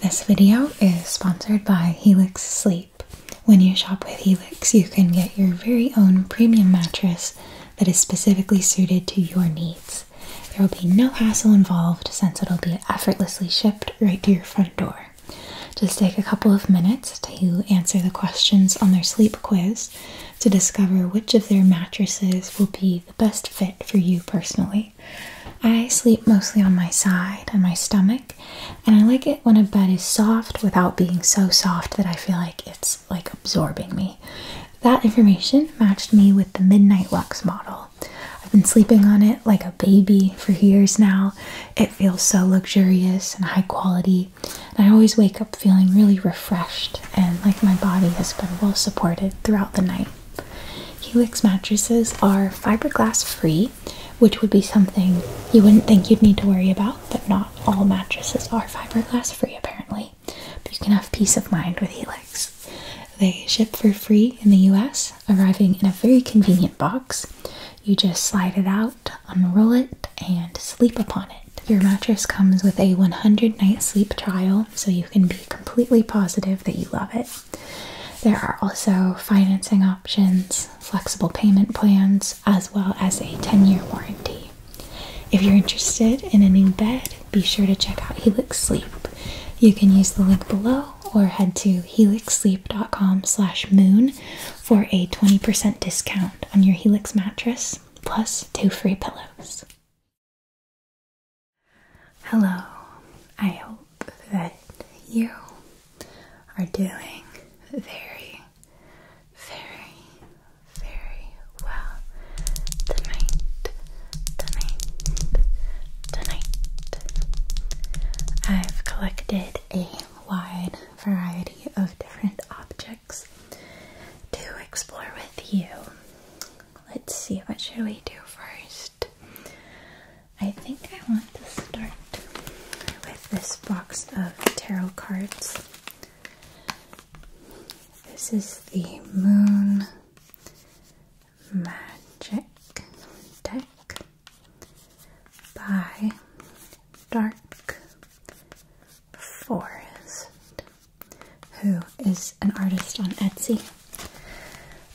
This video is sponsored by Helix Sleep. When you shop with Helix, you can get your very own premium mattress that is specifically suited to your needs. There will be no hassle involved since it'll be effortlessly shipped right to your front door. Just take a couple of minutes to answer the questions on their sleep quiz to discover which of their mattresses will be the best fit for you personally. I sleep mostly on my side and my stomach, and I like it when a bed is soft without being so soft that I feel like it's like absorbing me. That information matched me with the Midnight Lux model. I've been sleeping on it like a baby for years now. It feels so luxurious and high quality. And I always wake up feeling really refreshed and like my body has been well supported throughout the night. Helix mattresses are fiberglass free, which would be something you wouldn't think you'd need to worry about, but not all mattresses are fiberglass free apparently. But you can have peace of mind with Helix. They ship for free in the US, arriving in a very convenient box. You just slide it out, unroll it, and sleep upon it. Your mattress comes with a 100 night sleep trial, so you can be completely positive that you love it. There are also financing options, flexible payment plans, as well as a 10 year warranty. If you're interested in a new bed, be sure to check out Helix Sleep. You can use the link below or head to helixsleep.com slash moon for a 20% discount on your Helix mattress plus two free pillows. Hello, I hope that you are doing very, very, very well tonight, tonight, tonight. I've collected a wide variety of different objects to explore with you. Let's see, what should we do first? I think I want to start with this box of tarot cards. This is the Moon Magic deck by Dark Forest, who is an artist on Etsy.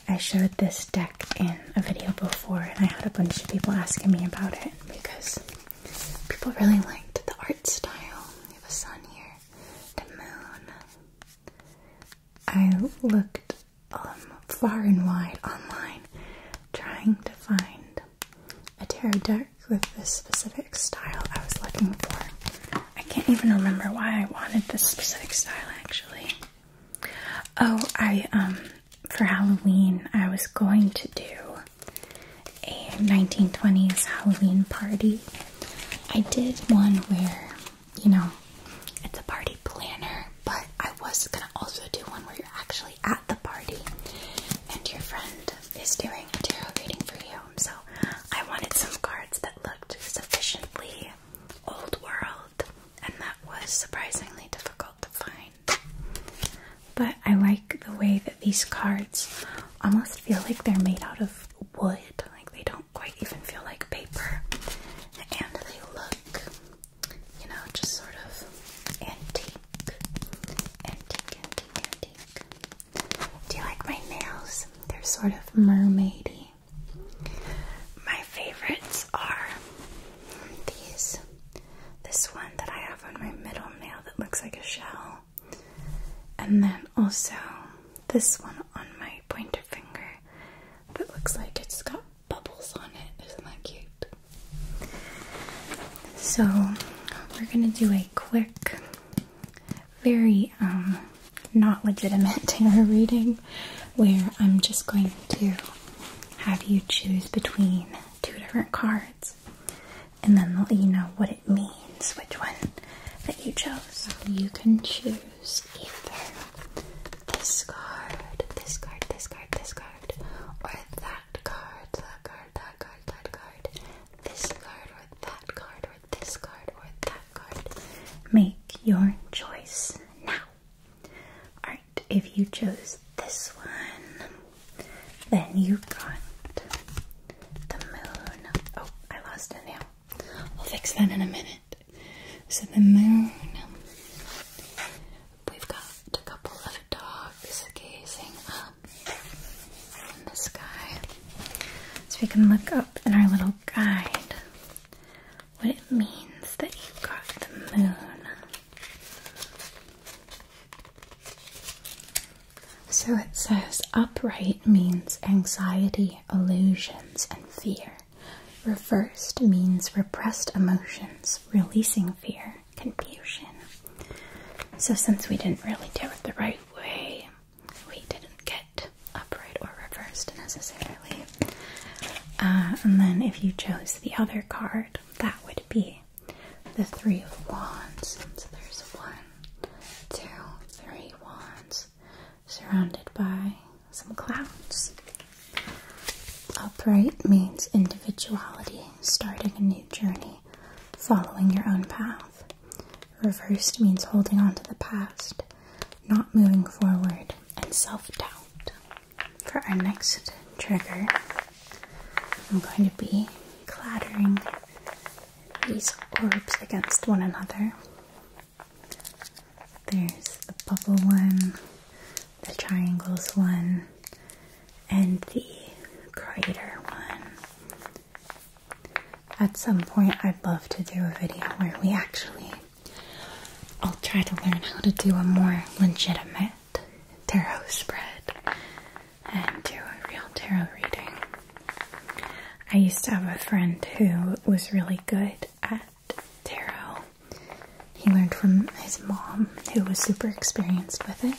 I showed this deck in a video before, and I had a bunch of people asking me about it because people really liked the art style. You have a sun here, the moon. I looked um, far and wide online trying to find a tarot deck with this specific style I was looking for. I can't even remember why I wanted this specific style actually. Oh, I um for Halloween I was going to do a 1920s Halloween party. I did one where, you know, it's a party planner, but I was gonna also do one where you're actually at the party and your friend is doing a tarot reading for you. So I wanted some cards that looked sufficiently old world and that was surprisingly difficult to find. But I like the way that these cards almost feel like they're made out of wood, like they don't quite even feel like paper, and they look, you know, just sort of antique. Antique, antique, antique. Do you like my nails? They're sort of mermaidy. My favorites are these. This one that I have on my middle nail that looks like a shell. And then also this one on my pointer finger that looks like it's got bubbles on it. Isn't that cute? So we're gonna do a quick, very um not legitimate tarot reading where I'm just going to have you choose between two different cards and then let you know what it means, which one that you chose. You can choose either this card, this card, this card, this card, or that card, that card, that card, that card, this card, or that card, or this card, or that card. Make your choice now alright, if you chose this one, then you got the moon. Oh, I lost a nail. We'll fix that in a minute. So, the moon. We've got a couple of dogs gazing up in the sky. So, we can look up in our little guide what it means that you got the moon. So it says upright means anxiety, illusions, and fear. Reversed means repressed emotions, releasing fear, confusion. So since we didn't really do it the right way, we didn't get upright or reversed necessarily. Uh, and then if you chose the other card, that would be the Three of Wands. So there's one, two, three wands surrounded by some clouds. Upright means individuality, starting a new journey, following your own path. Reversed means holding on to the past, not moving forward, and self doubt for our next trigger, I'm going to be clattering these orbs against one another. There's the bubble one, the triangles one, and the crater one. At some point, I'd love to do a video where we actually I'll try to learn how to do a more legitimate tarot spread and do a real tarot reading. I used to have a friend who was really good at tarot. He learned from his mom, who was super experienced with it.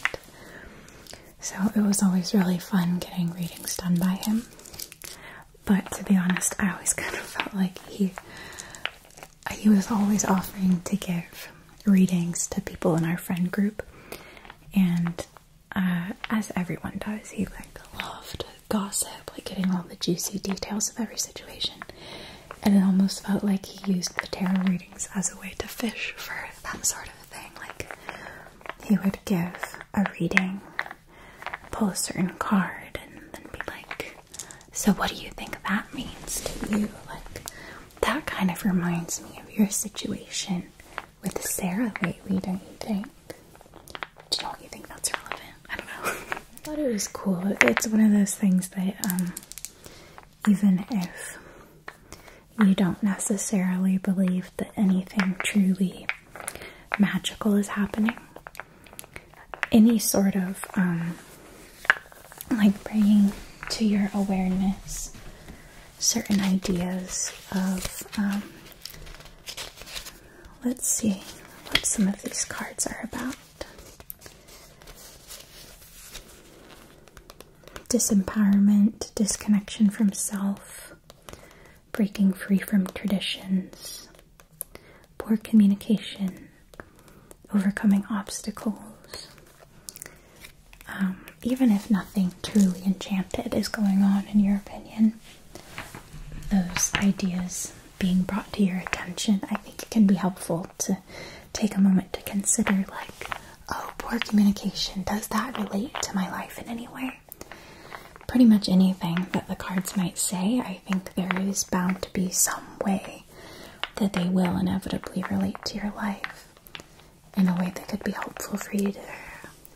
So it was always really fun getting readings done by him. But to be honest, I always kind of felt like he he was always offering to give readings to people in our friend group, and uh, as everyone does, he like loved gossip, like getting all the juicy details of every situation. And it almost felt like he used the tarot readings as a way to fish for that sort of thing. Like he would give a reading, pull a certain card, and then be like, so, what do you think that means to you? Like, that kind of reminds me of your situation with Sarah lately, don't you think? Do you, you think that's relevant? I don't know. I thought it was cool. It's one of those things that, um, even if you don't necessarily believe that anything truly magical is happening, any sort of um, like bringing to your awareness certain ideas of um, let's see what some of these cards are about disempowerment disconnection from self breaking free from traditions poor communication overcoming obstacles. Um, even if nothing truly enchanted is going on, in your opinion, those ideas being brought to your attention, I think it can be helpful to take a moment to consider like, oh, poor communication, does that relate to my life in any way? Pretty much anything that the cards might say, I think there is bound to be some way that they will inevitably relate to your life in a way that could be helpful for you to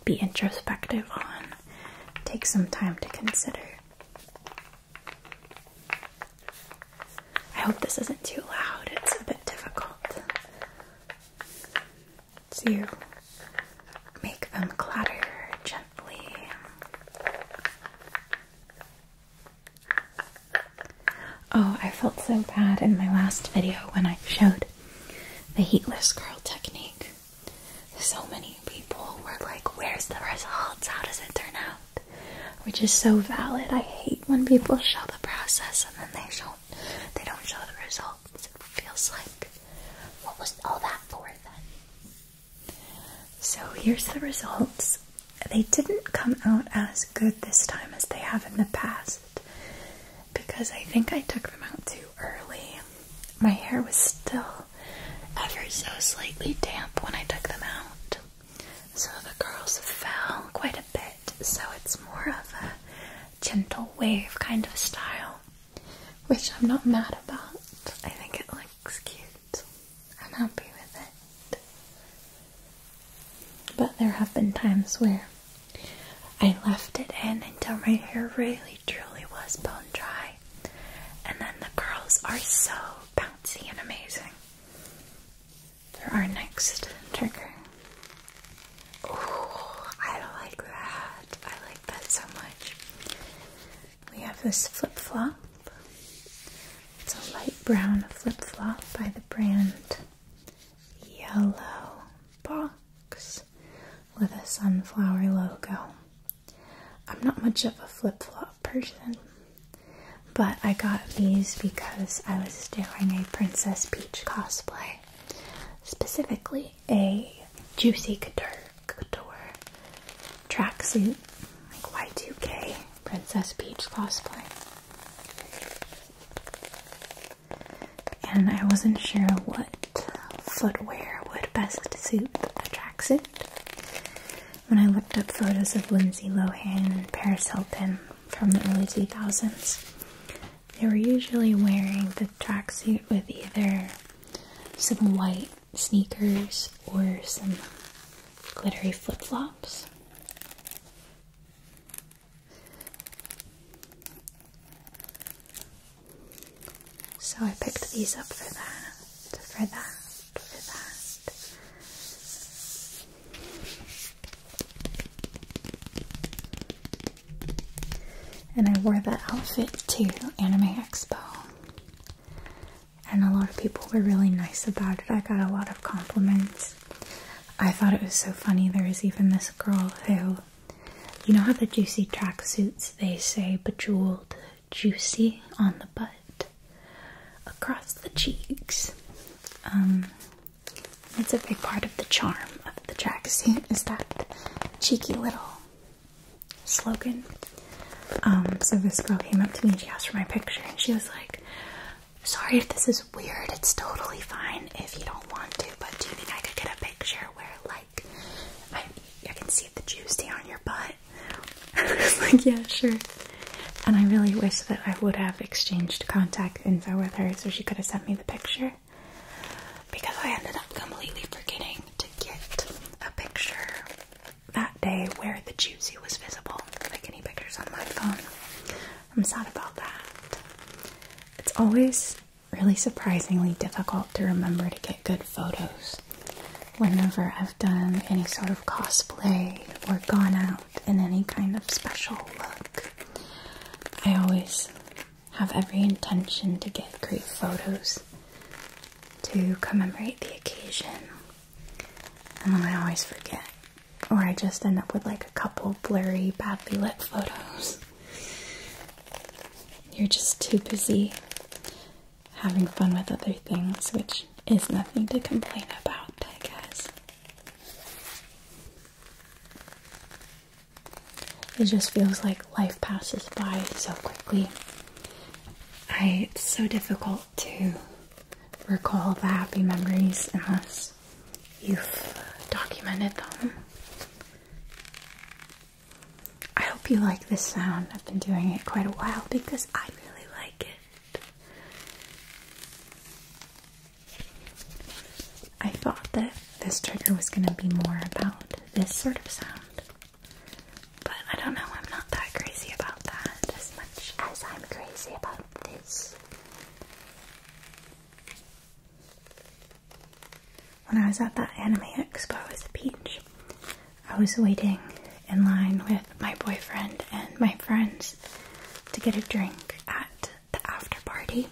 be introspective on. Take some time to consider. I hope this isn't too loud, it's a bit difficult to make them clatter gently. Oh, I felt so bad in my last video when I showed the heatless curl technique. So many people were like, Where's the results? How does it turn out? Which is so valid. I hate when people show the process and then they show they don't show the results. It feels like what was all that for then? So here's the results they didn't come out as good this time as they have in the past because I think I took them out too early. My hair was still ever so slightly damp when I took them out, so the curls fell quite a bit, so it's more of a gentle wave kind of style, which I'm not mad about. I think it looks cute. I'm happy with it. But there have been times where I left it in until my hair really truly was bone dry. And then the curls are so bouncy and amazing. For our next trigger. I like that. I like that so much. We have this flip flop. It's a light brown flip flop by the brand Yellow Box with a sunflower logo. I'm not much of a flip flop person, but I got these because I was doing a Princess Peach cosplay, specifically a Juicy Couture, tracksuit, like Y2K Princess Peach cosplay. And I wasn't sure what footwear would best suit the tracksuit. When I looked up photos of Lindsay Lohan and Paris Hilton from the early 2000s, they were usually wearing the tracksuit with either some white sneakers or some glittery flip flops. So I picked these up for that, for that, for that. And I wore that outfit to Anime Expo. And a lot of people were really nice about it. I got a lot of compliments. I thought it was so funny. There was even this girl who, you know, how the juicy tracksuits they say bejeweled juicy on the butt, across the cheeks. Um, it's a big part of the charm of the tracksuit is that cheeky little slogan. Um, so this girl came up to me and she asked for my picture, and she was like, Sorry if this is weird. It's totally fine if you don't want to, but do you think I could get a picture where, like, I, I can see the juice on your butt? like, yeah, sure. And I really wish that I would have exchanged contact info with her so she could have sent me the picture. Because I ended up completely forgetting to get a picture that day where the juicy was visible, like any pictures on my phone. I'm sad about that. It's always really surprisingly difficult to remember to get good photos whenever I've done any sort of cosplay or gone out in any kind of special look. I always have every intention to get great photos to commemorate the occasion, and then I always forget or I just end up with like a couple blurry, badly lit photos. You're just too busy having fun with other things, which is nothing to complain about, I guess. It just feels like life passes by so quickly. I, it's so difficult to recall the happy memories unless you've documented them. I hope you like this sound. I've been doing it quite a while because I really like it. I thought that this trigger was going to be more about this sort of sound. But I don't know, I'm not that crazy about that as much as I'm crazy about this. When I was at that anime expo with a peach, I was waiting in line with my boyfriend and my friends to get a drink at the after party.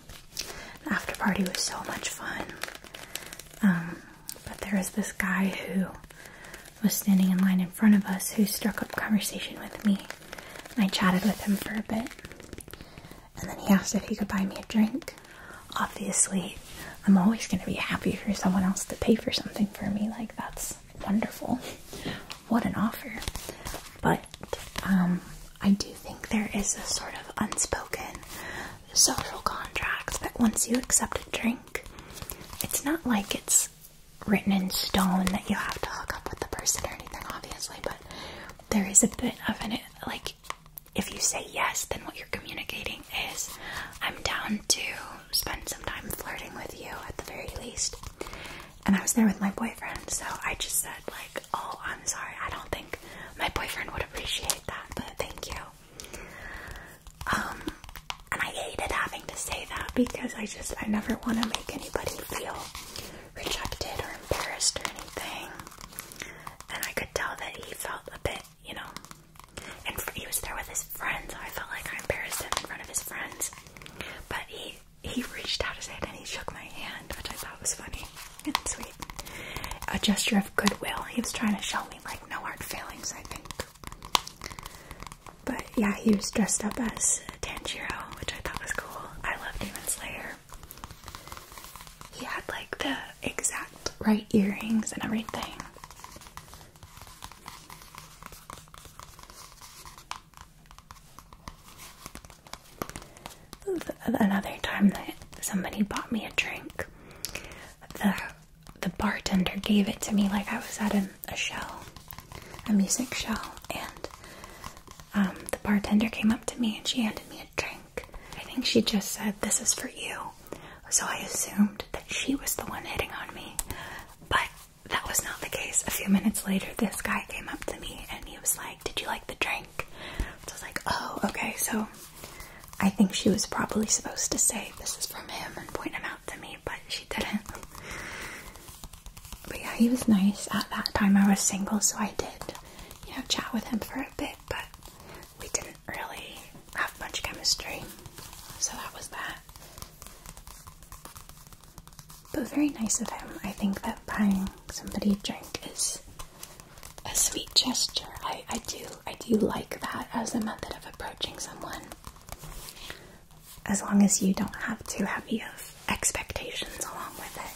The after party was so much fun. Um, but there was this guy who was standing in line in front of us who struck up conversation with me I chatted with him for a bit. And then he asked if he could buy me a drink. Obviously, I'm always going to be happy for someone else to pay for something for me. Like, that's wonderful. what an offer. But um, I do think there is a sort of unspoken social contract that once you accept a drink, it's not like it's written in stone that you have to hook up with the person or anything, obviously, but there is a bit of an like if you say yes, then what you're communicating is I'm down to spend some time flirting with you at the very least. And I was there with my boyfriend, so I just said like, "Oh, I'm sorry. I don't think my boyfriend would appreciate that, but thank you." Um, and I hated having to say that because I just I never want to make anybody feel rejected or embarrassed or anything. And I could tell that he felt a bit, you know, and he was there with his friends. I felt like I embarrassed him in front of his friends. But he he reached out his hand and he shook my hand, which I thought was funny and sweet. A gesture of goodwill. He was trying to show me like no hard feelings, I think. But yeah, he was dressed up as Tangier, which I thought was cool. I love Demon Slayer. He had like the exact right earrings and everything. Another time that somebody bought me a drink, the the bartender gave it to me like I was at a show a music show, and um, the bartender came up to me and she handed me a drink. I think she just said, This is for you. So I assumed that she was the one hitting on me, but that was not the case. A few minutes later, this guy came up to me and he was like, Did you like the drink? I was like, Oh, okay. So I think she was probably supposed to say, This is from him and point him out to me, but she didn't. But yeah, he was nice. At that time, I was single, so I did, you know, chat with him for a bit, but we didn't really have much chemistry. So that was that. But very nice of him. I think that buying somebody a drink is a sweet gesture. I, I do I do like that as a method of approaching someone. As long as you don't have too heavy of expectations along with it.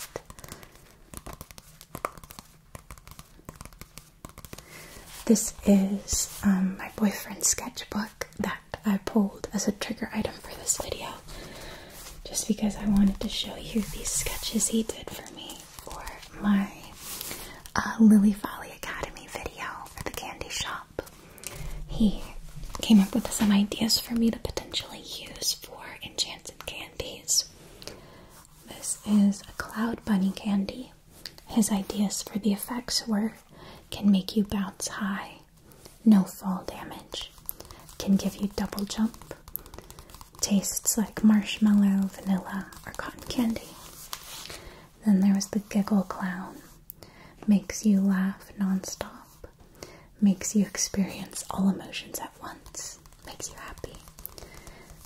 This is um, my boyfriend's sketchbook that I pulled as a trigger item for this video, just because I wanted to show you these sketches he did for me for my uh, Lily Folly Academy video at the candy shop. He came up with some ideas for me to potentially use for enchanted candies. This is a cloud bunny candy. His ideas for the effects were can make you bounce high, no fall damage, can give you double jump, tastes like marshmallow, vanilla, or cotton candy. Then there was the giggle clown, makes you laugh nonstop, makes you experience all emotions at once, makes you happy.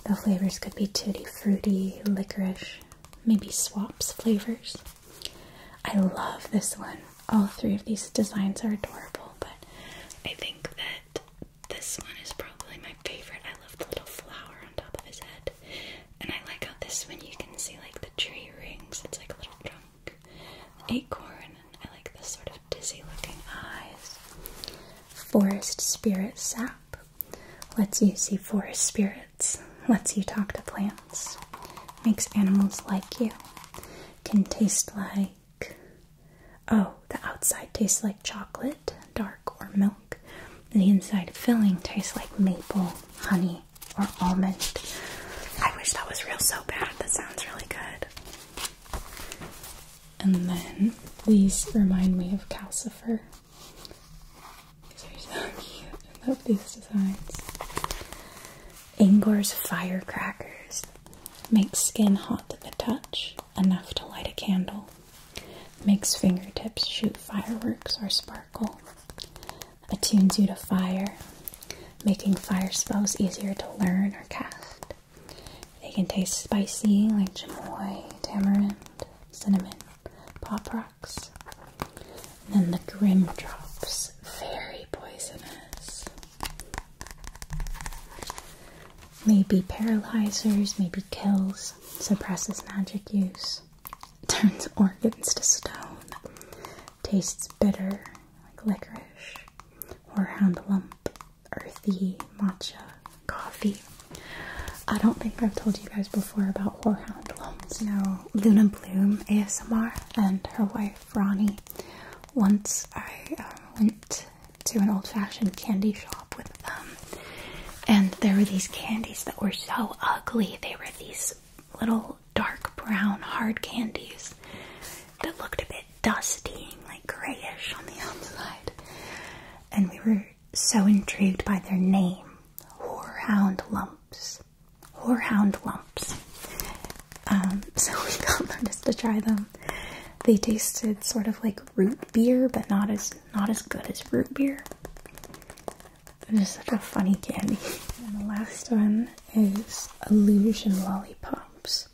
The flavors could be tutti fruity, licorice, maybe swaps flavors. I love this one. All three of these designs are adorable, but I think that this one is probably my favorite. I love the little flower on top of his head. And I like how this one you can see like the tree rings. It's like a little drum like acorn, and I like this sort of dizzy looking eyes. Forest spirit sap lets you see forest spirits, lets you talk to plants, makes animals like you, can taste like. Oh, the outside tastes like chocolate, dark, or milk. The inside filling tastes like maple, honey, or almond. I wish that was real so bad. That sounds really good. And then these remind me of calcifer. These are so cute. love these designs. Ingor's firecrackers makes skin hot to the touch, enough to light a candle. Makes fingertips shoot fireworks or sparkle. Attunes you to fire, making fire spells easier to learn or cast. They can taste spicy like chamoy, tamarind, cinnamon, pop rocks. And then the grim drops, very poisonous. Maybe paralyzers, maybe kills, suppresses magic use, turns organs to stone, tastes bitter, like licorice, horehound lump, earthy, matcha, coffee. I don't think I've told you guys before about horehound lumps. Now Luna Bloom ASMR and her wife Ronnie. Once I um, went to an old-fashioned candy shop with them, and there were these candies that were so ugly. They were these little dark brown hard candies that looked a bit dusty and like grayish on the outside. And we were so intrigued by their name, Whorehound Lumps. Whorehound Lumps. Um, so we got them just to try them. They tasted sort of like root beer, but not as not as good as root beer. It is such a funny candy. and the last one is Illusion Lollipops.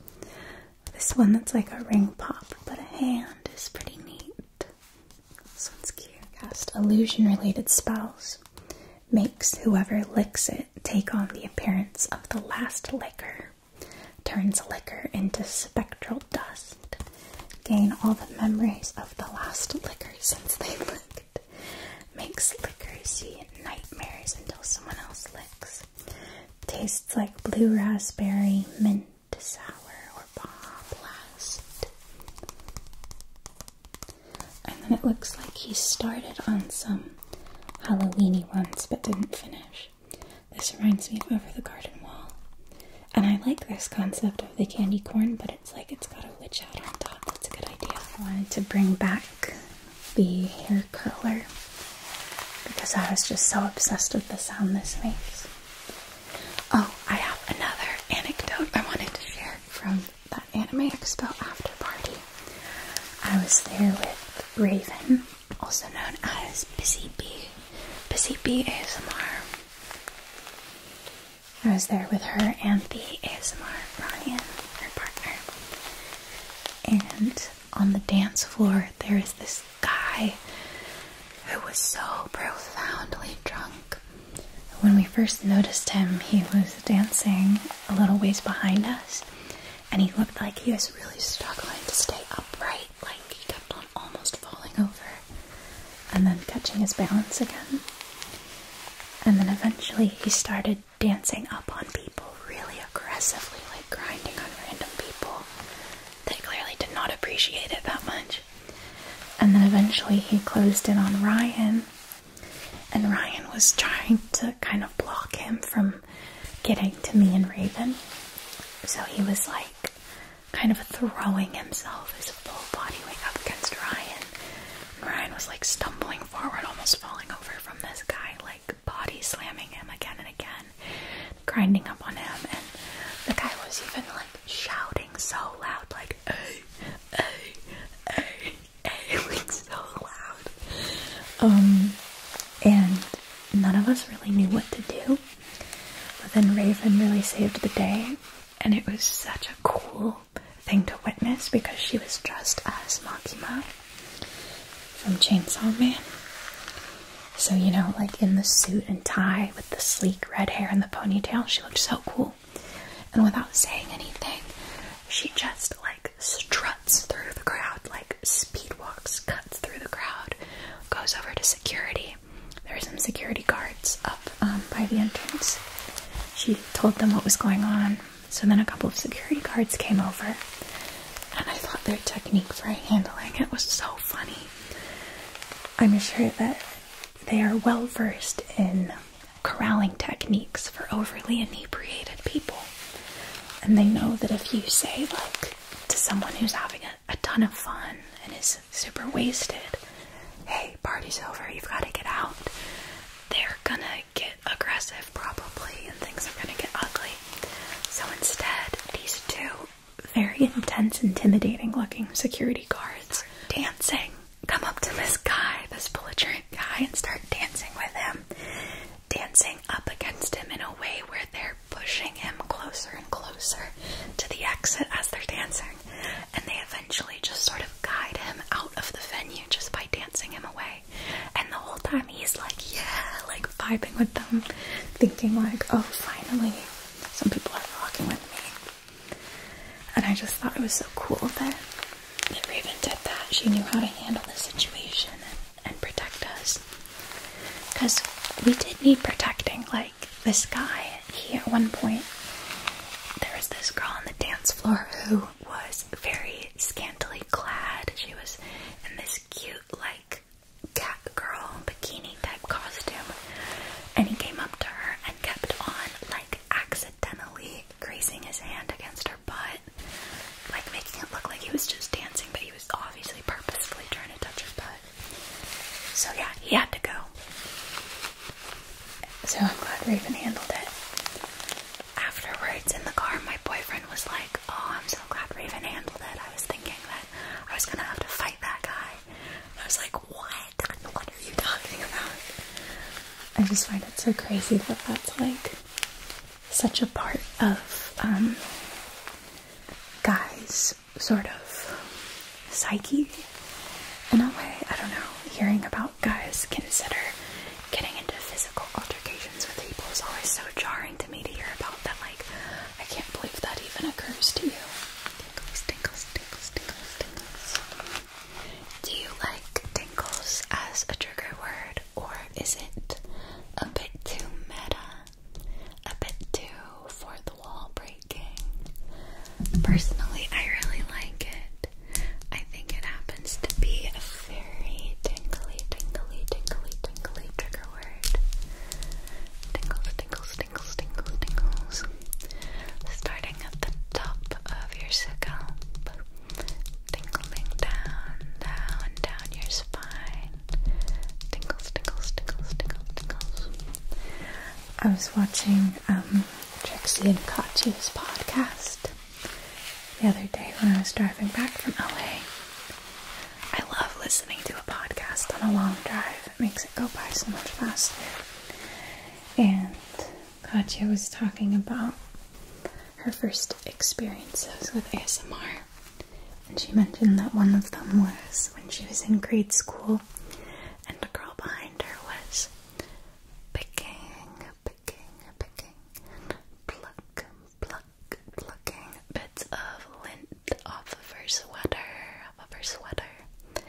This one that's like a ring pop, but a hand is pretty neat. This one's cute. illusion related spells. Makes whoever licks it take on the appearance of the last liquor, Turns liquor into spectral dust. Gain all the memories of the last liquor since they licked. Makes liquor see nightmares until someone else licks. Tastes like blue raspberry, mint sour, or bomb blast. And then it looks like he started on some Halloweeny ones but didn't finish. This reminds me of Over the Garden Wall. And I like this concept of the candy corn, but it's like it's got a witch out on top. That's a good idea. I wanted to bring back the hair colour because I was just so obsessed with the sound this makes. Oh, I have another anecdote I wanted to share from that Anime Expo after party. I was there with Raven, also known as Busy Bee, Busy Bee ASMR. I was there with her and the ASMR Ryan, her partner, and on the dance floor, there is this guy who was so profoundly drunk. When we first noticed him, he was dancing a little ways behind us, and he looked like he was really struggling to stay upright, like he kept on almost falling over and then catching his balance again. And then eventually he started dancing up on people really aggressively, like like grinding on random people that clearly did not appreciate it that much. And then eventually he closed in on Ryan, and Ryan was trying to kind of block him from getting to me and Raven. So he was like kind of throwing himself his full body weight up against Ryan. Ryan was like stumbling forward, almost falling over from this guy, like body slamming him again and again grinding up on him and the guy was even like shouting so loud like hey hey hey like so loud um and none of us really knew what to do but then Raven really saved the day and it was such a cool thing to witness because she was dressed as Makima from Chainsaw Man. So, you know, like in the suit and tie with the sleek red hair and the ponytail, she looked so cool. And without saying anything, she just like struts through the crowd, like speed walks, cuts through the crowd, goes over to security. There are some security guards up um, by the entrance. She told them what was going on. So then a couple of security guards came over and I thought their technique for handling it was so funny. I'm sure that they are well versed in corralling techniques for overly inebriated people, and they know that if you say, like, to someone who's having a, a ton of fun and is super wasted, hey, party's over, you've got to get out, they're gonna get aggressive probably, and things are gonna get ugly, so instead, these two very intense, intimidating looking security guards dancing come up to this guy, this belligerent guy, and start dancing with him. Dancing up against him in a way where they're pushing him closer and closer to the exit as they're dancing. And they eventually just sort of guide him out of the venue just by dancing him away. And the whole time he's like yeah like vibing with them thinking like oh finally some people are rocking with me and i just thought it was so cool that that raven did that she knew how to handle the situation and protect us because we did need protecting like this guy he at one point there was this girl on the dance floor who was very scantily clad she was in this cute like cat girl bikini type costume, and he came up to her and kept on like accidentally grazing his hand against her butt, like making it look like he was just dancing, but he was obviously purposefully trying to touch her butt. So yeah, he had to go. So I'm glad Raven handled it. Afterwards in the car, my boyfriend was like, oh, I'm so glad Raven handled it. I was thinking that I was gonna have to fight that guy. I was like, what? What are you talking about? I just find it so crazy that that's like such a part of um, guys' sort of psyche in a way. I don't know. Hearing about guys consider getting into physical altercations with people is always so jarring me to hear about that. Like, I can't believe that even occurs to you. Tingles, tingles, tingles, tingles, tingles. Do you like tingles as a trigger word, or is it a bit too meta? A bit too for the wall breaking? Personally, I really like it. I think it happens to be a very tingly, tingly, tingly, tingly trigger Tingles, tingles, tingles, tingles, tingles. Starting at the top of your scalp, tingling down, down, down your spine. Tingles, tingles, tingles, tingles, tingles. I was watching um, Trixie and Kachi's podcast the other day when I was driving back from LA. I love listening to a podcast on a long drive. It makes it go by so much faster. And Katya was talking about her first experiences with ASMR. And she mentioned that one of them was when she was in grade school and the girl behind her was picking, picking, picking, pluck, pluck, bits of lint off of her sweater, off of her sweater.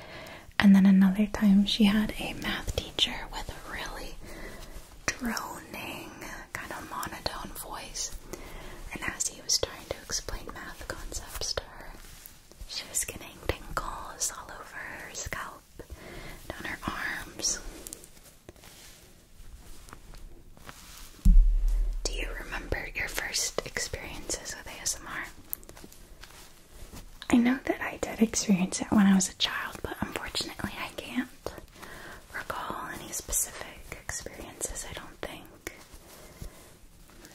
And then another time she had a math teacher with a really droning, kind of monotone voice. And as he was trying to explain math concepts to her, she was getting tingles all over her scalp, down her arms. Do you remember your first experiences with ASMR? I know that I did experience it when I was a child, but unfortunately I can't recall any specific experiences, I don't think.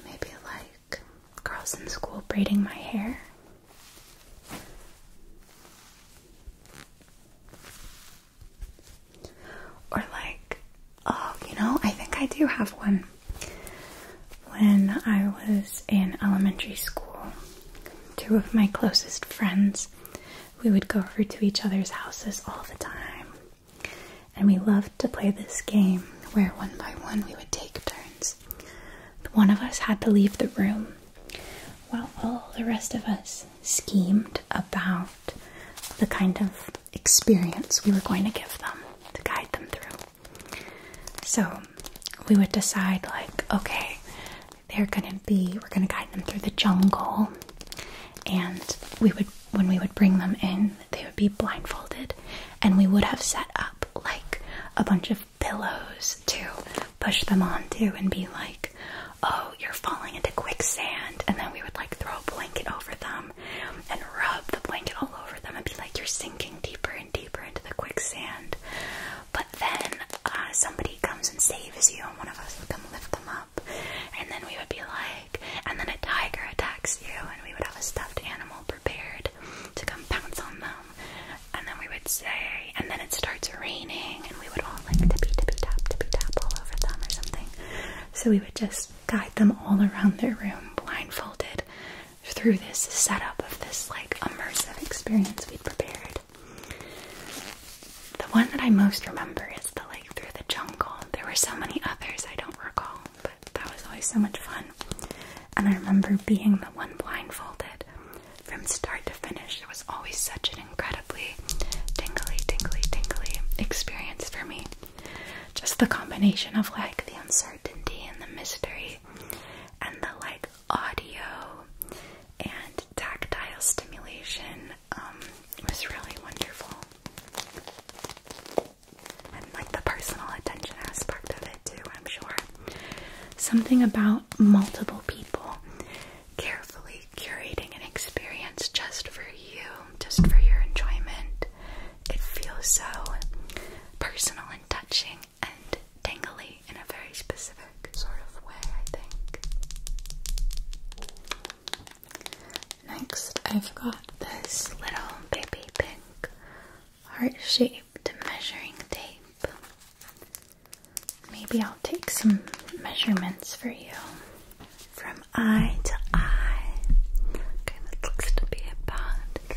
Maybe like girls in school braiding my hair. Or like, oh, you know, I think I do have one. When I was in elementary school, two of my closest friends, we would go over to each other's houses all the time. And we loved to play this game where one by one we would take turns. One of us had to leave the room while all the rest of us schemed about the kind of experience we were going to give them to guide them through. So we would decide, like, okay, they're going to be, we're going to guide them through the jungle, and we would, when we would bring them in, they would be blindfolded, and we would have set up like a bunch of pillows to push them onto and be like, oh, you're falling into quicksand, and then we would like throw a blanket over them and rub the blanket all over them and be like, you're sinking deeper and deeper into the quicksand. But then uh, somebody comes and saves you, and one of us would come lift them up. And then we would be like, and then a tiger attacks you, and we would have a stuffed animal prepared to come pounce on them. And then we would say, and then it starts raining, and we would all like tippy tippy tap tippy tap all over them or something. So we would just guide them all around their room blindfolded through this setup of this like immersive experience we'd prepared. The one that I most remember is the like through the jungle. There were so many others I don't recall, but that was always so much fun. And I remember being the one blindfolded from start to finish. It was always such an incredibly tingly, tingly, tingly experience for me. Just the combination of like the uncertainty and the mystery and the like audio and tactile stimulation um, was really wonderful. And like the personal attention aspect of it too, I'm sure. Something about multiple people carefully curating an experience just for you, just for your enjoyment. It feels so personal and touching and tangly in a very specific sort of way, I think. Next, I've got this little baby pink heart-shaped measuring tape. Maybe I'll take some measurements for you from eye to eye. Okay, that looks to be about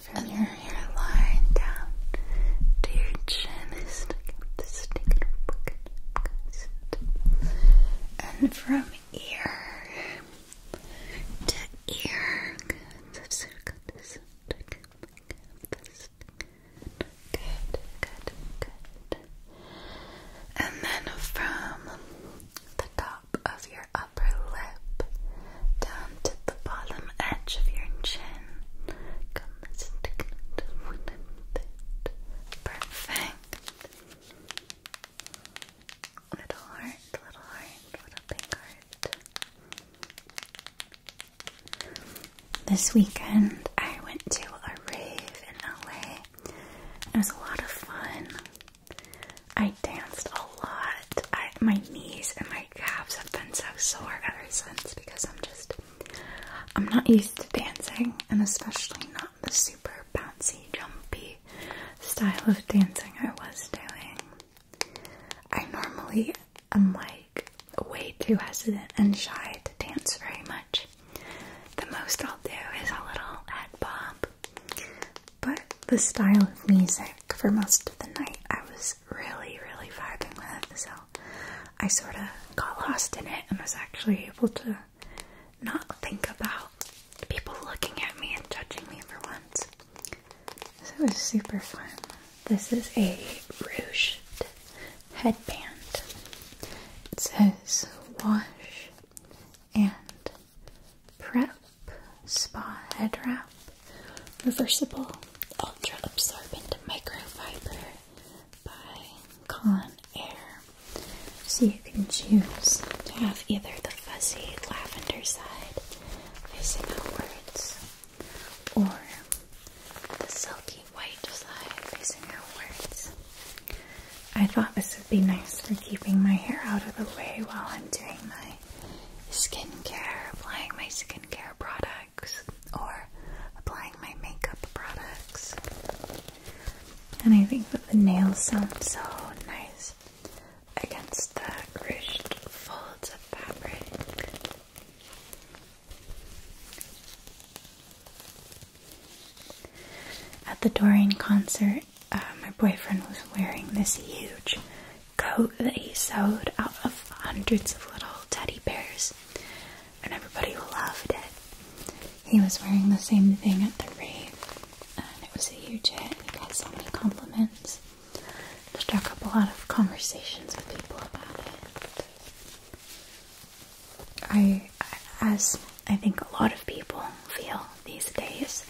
From your hairline down to your chin and from ear to ear. Good, good, good. And then from the top of your upper lip down to the bottom edge of your chin comes perfect. Little heart, little heart, little big heart. This weekend I went to a rave in LA it was a lot of fun. I danced a lot. I, my knees and my calves have been so sore ever since because I'm just, I'm not used to dancing and especially not the super bouncy, jumpy style of dancing I was doing. I normally am like way too hesitant and shy to dance very much. The most I'll do is a little head pop, But the style of music for most of the night I was really, really vibing with, so I sort of got lost in it and was actually able to not think about people looking at me and judging me for once. So it was super fun. This is a rouge headband. It says wash and prep spa head wrap reversible ultra absorbent microfiber by con air so you can choose to have either the fuzzy lavender side facing outwards or the silky white side facing outwards I thought this would be nice for keeping my hair out of the way while I'm doing my skincare, applying my skincare products or applying my makeup products. And I think that the nails sound so nice against the ruched folds of fabric. At the Doreen concert, uh, my boyfriend was wearing this huge coat that he sewed out of hundreds of little teddy bears, and everybody loved it. He was wearing the same thing at the rave, and it was a huge hit. He got so many compliments. Struck up a lot of conversations with people about it. I, as I think a lot of people feel these days,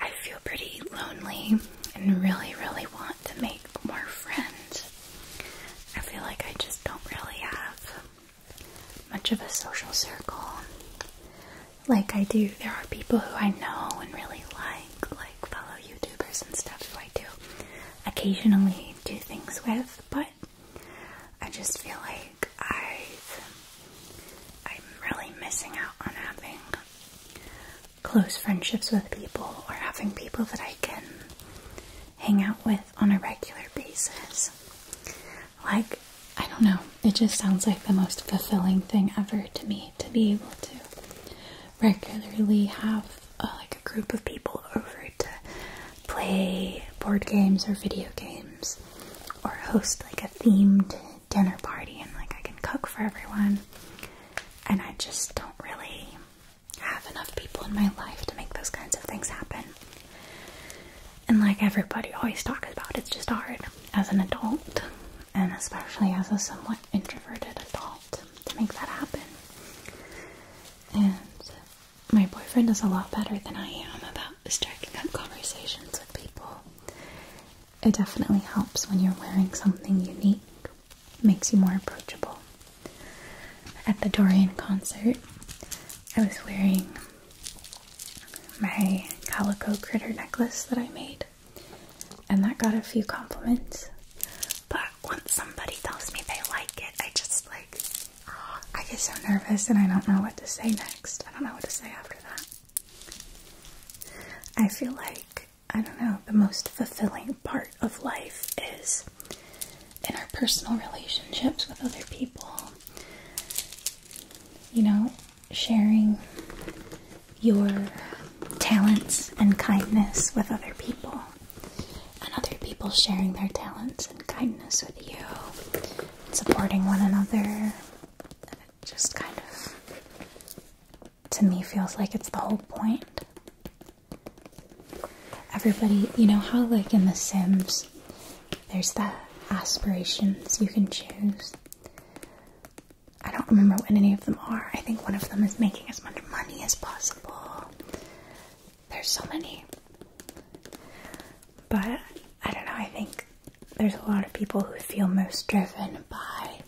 I feel pretty lonely and really, really want to make more friends. I feel like I just don't really have much of a social circle like I do. There are people who I know and really like, like fellow YouTubers and stuff who I do occasionally do things with, but I just feel like i am really missing out on having close friendships with people or having people that I can hang out with on a regular basis. Like, I don't know, it just sounds like the most fulfilling thing ever to me to be able to regularly have uh, like a group of people over to play board games or video games or host like a themed dinner party and like I can cook for everyone and I just don't really have enough people in my life to make those kinds of things happen. And like everybody always talks about, it's just hard as an adult and especially as a somewhat introverted adult to make that happen. And my boyfriend is a lot better than I am about striking up conversations with people. It definitely helps when you're wearing something unique, makes you more approachable. At the Dorian concert, I was wearing my calico critter necklace that I made, and that got a few compliments. But once somebody tells me they like it, I just like I get so nervous and I don't know what to say next. I don't know what to say after that. I feel like, I don't know, the most fulfilling part of life is in our personal relationships with other people. You know, sharing your talents and kindness with other people, and other people sharing their talents and kindness with you supporting one another. And it just kind of, to me, feels like it's the whole point. Everybody, you know how, like in The Sims, there's that aspirations you can choose. I don't remember what any of them are. I think one of them is making as much money as possible. There's so many. But I don't know, I think there's a lot of people who feel most driven by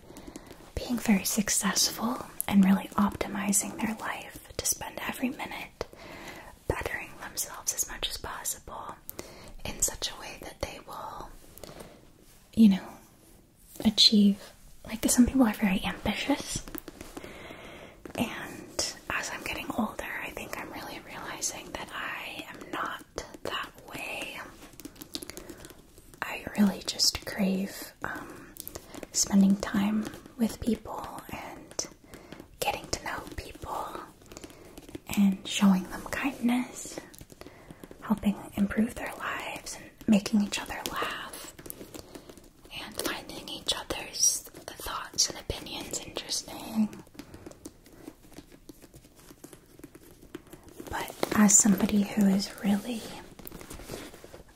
being very successful and really optimizing their life to spend every minute bettering themselves as much as possible in such a way that they will, you know, achieve. Like, some people are very ambitious and as I'm getting older, I think I'm really realizing that I am not that way. I really just crave um, spending time with people and getting to know people and showing them kindness, helping improve their lives, and making each other laugh, and finding each other's thoughts and opinions interesting. But as somebody who is really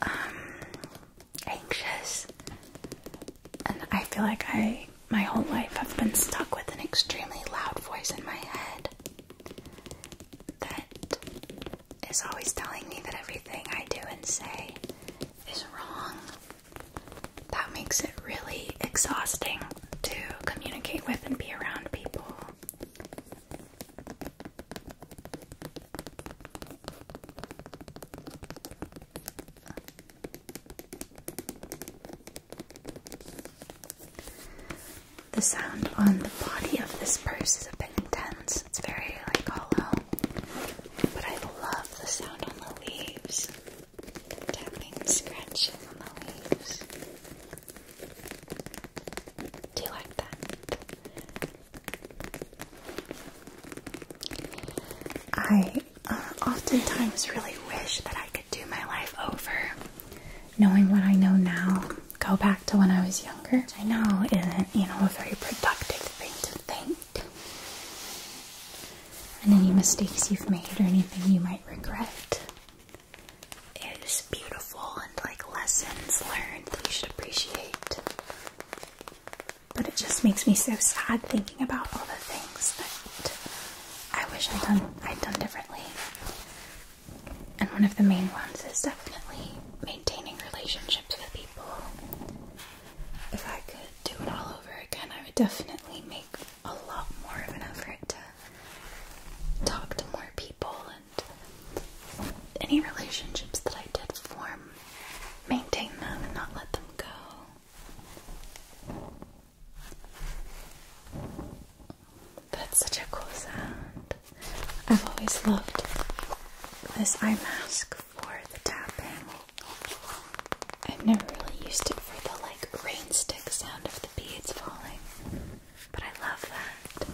um, anxious, and I feel like I my whole life have been stuck with an extremely loud voice in my head that is always telling me that everything I do and say is wrong. That makes it really exhausting to communicate with and be around people. The sound on the body of this purse is a bit intense. It's very like hollow, but I love the sound on the leaves tapping, scratching on the leaves. Do you like that? I uh, oftentimes really wish that I could do my life over. Knowing what I know now, go back to when I was younger. I know isn't, you know, a very productive thing to think and any mistakes you've made or anything you might regret is beautiful and like lessons learned that you should appreciate. But it just makes me so sad thinking about all the things that I wish I'd done I'd done differently. And one of the main ones is definitely maintaining relationships with people. If I could do it all over again, I would definitely make a lot more of an effort to talk to more people and any relationships that I did form, maintain them and not let them go. That's such a cool sound. I've always loved this eye mask for the tapping. I've never really used it for the like rain stick sound of the beads falling, but I love that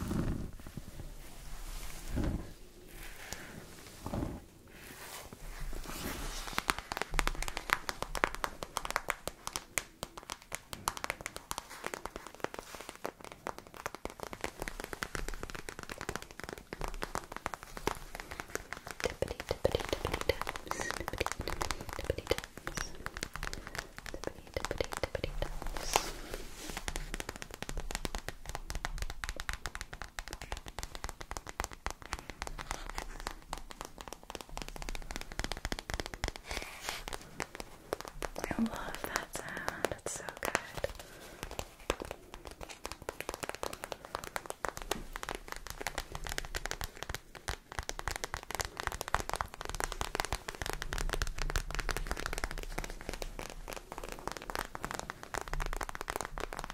tippity tippity tippity taps, tippity tippity taps, tippity tippity tippity taps. I love that sound, it's so good.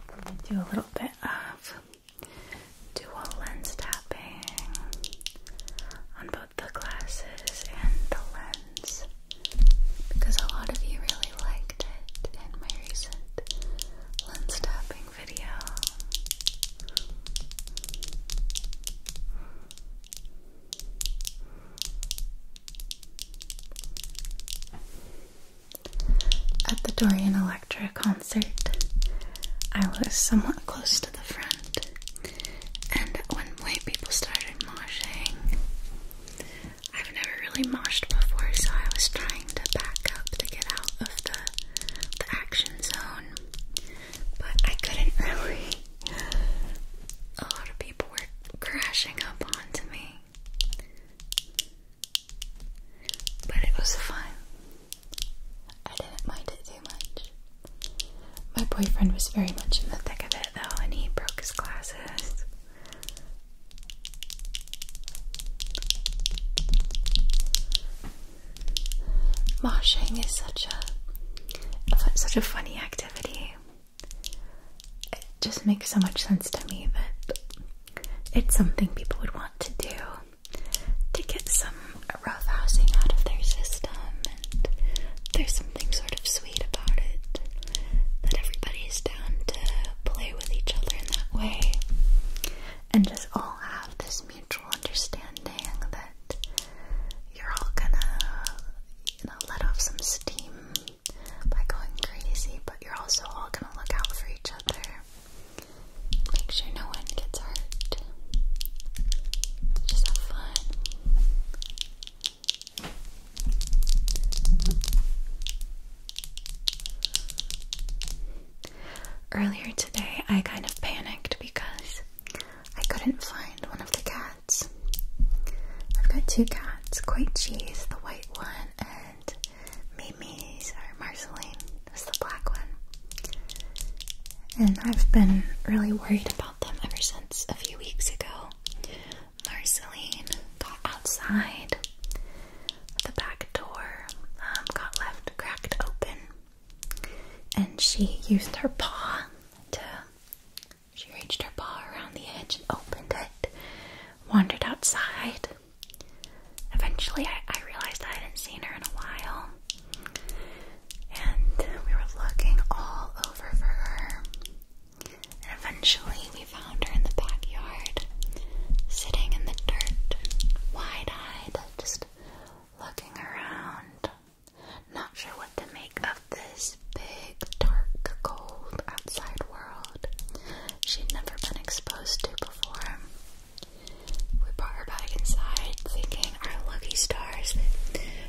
Let me do a little bit of dual lens tapping on both the glasses and the lens because a lot of you really liked it in my recent lens tapping. At the Dorian Electra concert, I was somewhat close to the front, and when white people started moshing. I've never really moshed before, so I was trying to back up to get out of the the action zone but I couldn't really. A lot of people were crashing up onto me, but it was fun. I didn't mind it too much. My boyfriend was very much in the thick of it though, and he broke his glasses. Moshing is such a such a funny activity. It just makes so much sense to me that it's something people would want to do to get some rough housing out of their system and there's something sort of sweet about it that everybody's down to play with each other in that way and just all have this mutual understanding that you're all gonna, you know, let off some steam by going crazy, but you're also all gonna look out for each other. Make sure no one gets hurt. Just have fun. Earlier today, I kind of panicked because I couldn't find one of the cats. I've got two cats, Quite Cheese, the white one, and Mimi's or Marceline that's the black one. And I've been really worried about them ever since a few weeks ago. Marceline got outside the back door, um, got left cracked open and she used her paw to. She reached her paw around the edge and opened it, wandered outside. Eventually, I, I realized I hadn't seen her in a while, and we were looking all over for her. And eventually, we found her in the backyard, sitting in the dirt, wide eyed, just looking around, not sure what to make of this big, dark, cold outside world she'd never been exposed to before. We brought her back inside, thinking our lucky stars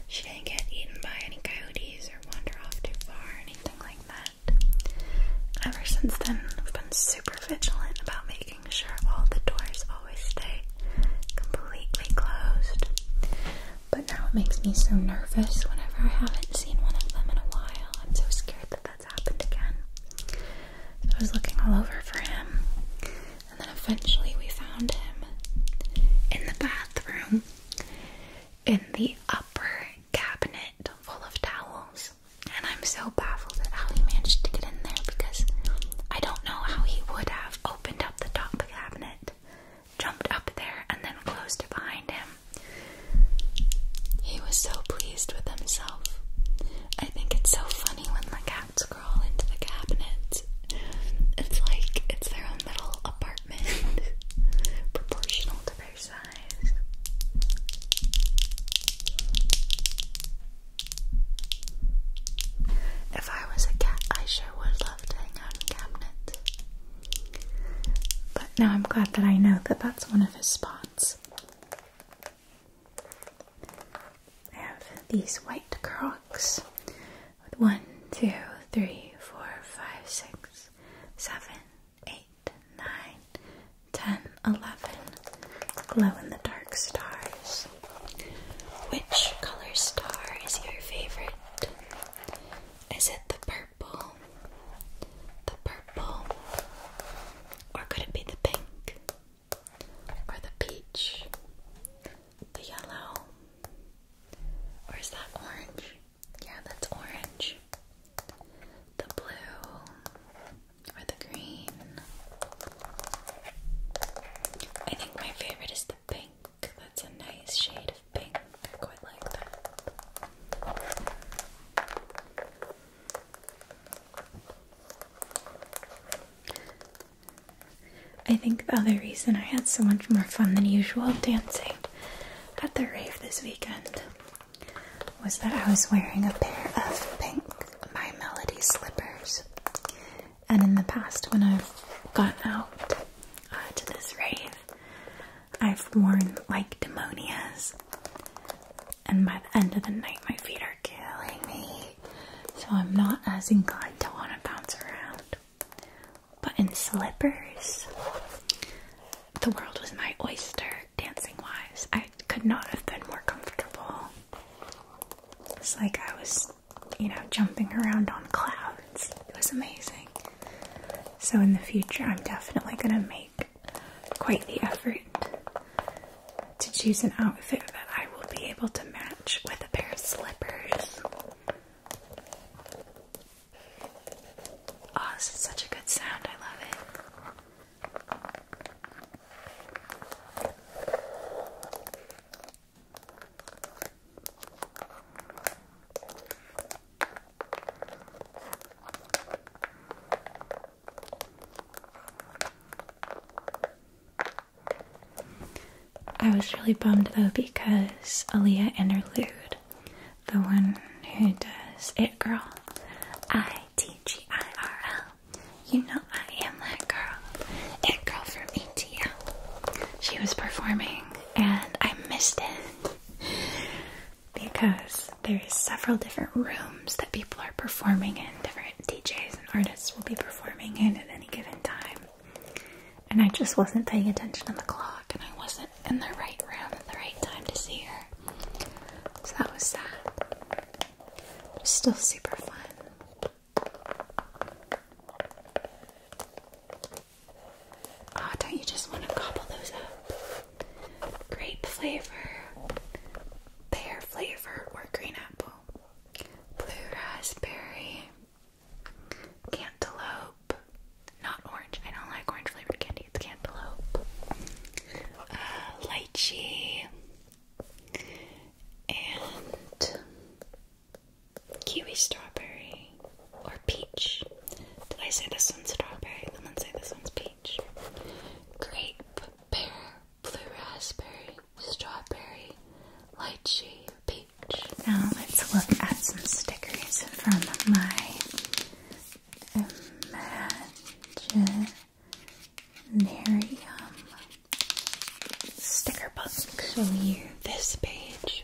she did get eaten by any coyotes or wander off too far anything like that. Ever since then, we've been super vigilant about making making sure all the doors always stay completely closed. But now it makes me so nervous whenever I haven't seen one of them in a while. I'm so scared that that's happened again. So I was looking all over for him, and then eventually we found him in the bathroom in the upper cabinet full of towels. And I'm so bad that Allie managed to get in there because I don't know how he would have opened up the top cabinet, jumped up there, and then closed it behind him. He was so pleased with himself. I think it's so funny when the cats crawl into the cabinet. It's like it's their own little apartment, proportional to their size. If I was a cat, I sure would love to hang out in cabinet. But now I'm glad that I know that that's one of his spots. I have these white crocs with one, two, three, four, five, six, seven, eight, nine, ten, eleven, glow in the dark stars. Which color star is your favorite? Is it the purple? The purple? Or could it be the pink? Or the peach? The yellow? Or is that orange? Yeah, that's orange. The blue? Or the green? I think my favorite is the pink. That's a nice shade of pink. I quite like that. I think the other reason I had so much more fun than usual dancing at the rave this weekend was that I was wearing a pair of pink My Melody slippers and in the past when I've gone out uh, to this rave, I've worn like demonias, and by the end of the night, my feet are killing me, so I'm not as inclined to want to bounce around. But in slippers, the world was my oyster dancing wise. I could not have been more comfortable. It's like I was, you know, jumping around on clouds. It was amazing. So, in the future, I'm definitely going to make quite the effort to choose an outfit that I will be able to match with a pair of slippers. Oh, this is such a good sound. I love it. I was really bummed though because Aaliyah Interlude, the one who does It Girl, I T G I R L, you know I am that girl. That girl from ETL. She was performing and I missed it because there is several different rooms that people are performing in, different DJs and artists will be performing in at any given time. And I just wasn't paying attention on the clock and I wasn't in the right room at the right time to see her. So that was sad. But still super fun. Oh, don't you just want to gobble those up? Grape flavor, pear flavor, or green apple, blue raspberry, cantaloupe, not orange. I don't like orange flavored candy, it's cantaloupe, uh, lychee, and kiwi strawberry or peach. Did I say this one's strawberry? Someone say this one's peach. Grape, pear, blue raspberry, strawberry, lychee, peach. Now let's look at some stickers from my Imaginarium sticker book. So here, this page.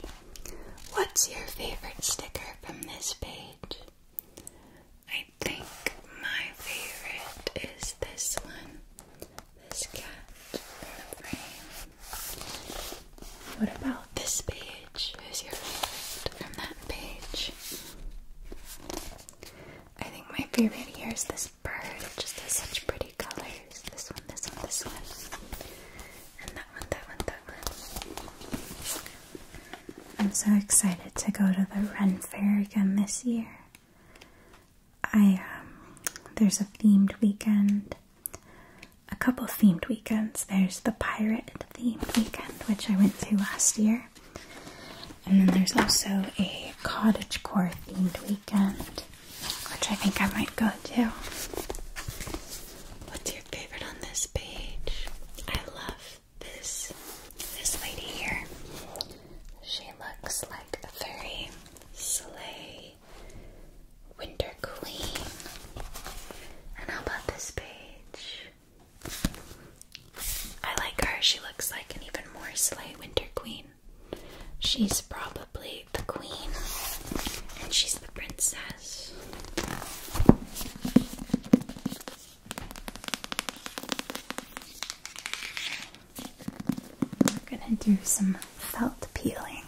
What's your favorite sticker from this page? I think my favorite is this one. This cat in the frame. What about this page? Who's your favorite from that page? I think my favorite here is this bird. just has such pretty colors. This one, this one, this one. And that one, that one, that one. I'm so excited to go to the Ren Fair again this year. I, um, there's a themed weekend. A couple themed weekends. There's the pirate themed weekend, which I went to last year. And then there's also a cottage core themed weekend. Which I think I might go to. What's your favorite on this page? I love this this lady here. She looks like a very sleigh winter queen. And how about this page? I like her. She looks like an even more sleigh winter queen. She's probably the queen, and she's the princess. We're gonna do some felt peeling,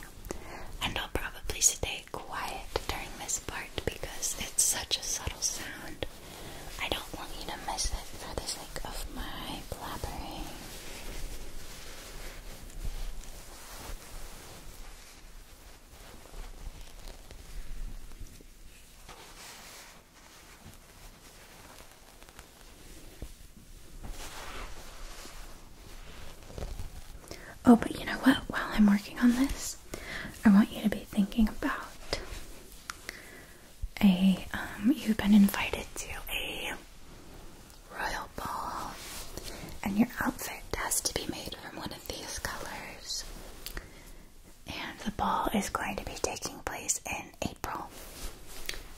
and I'll probably stay quiet during this part because it's such a subtle sound. I don't want you to miss it for the sake of my blabbering. Oh, but you know what? While I'm working on this, I want you to be thinking about a um, you've been invited to a royal ball, and your outfit has to be made from one of these colors. And the ball is going to be taking place in April.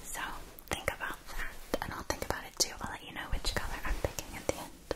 So think about that, and I'll think about it too. I'll let you know which color I'm picking at the end.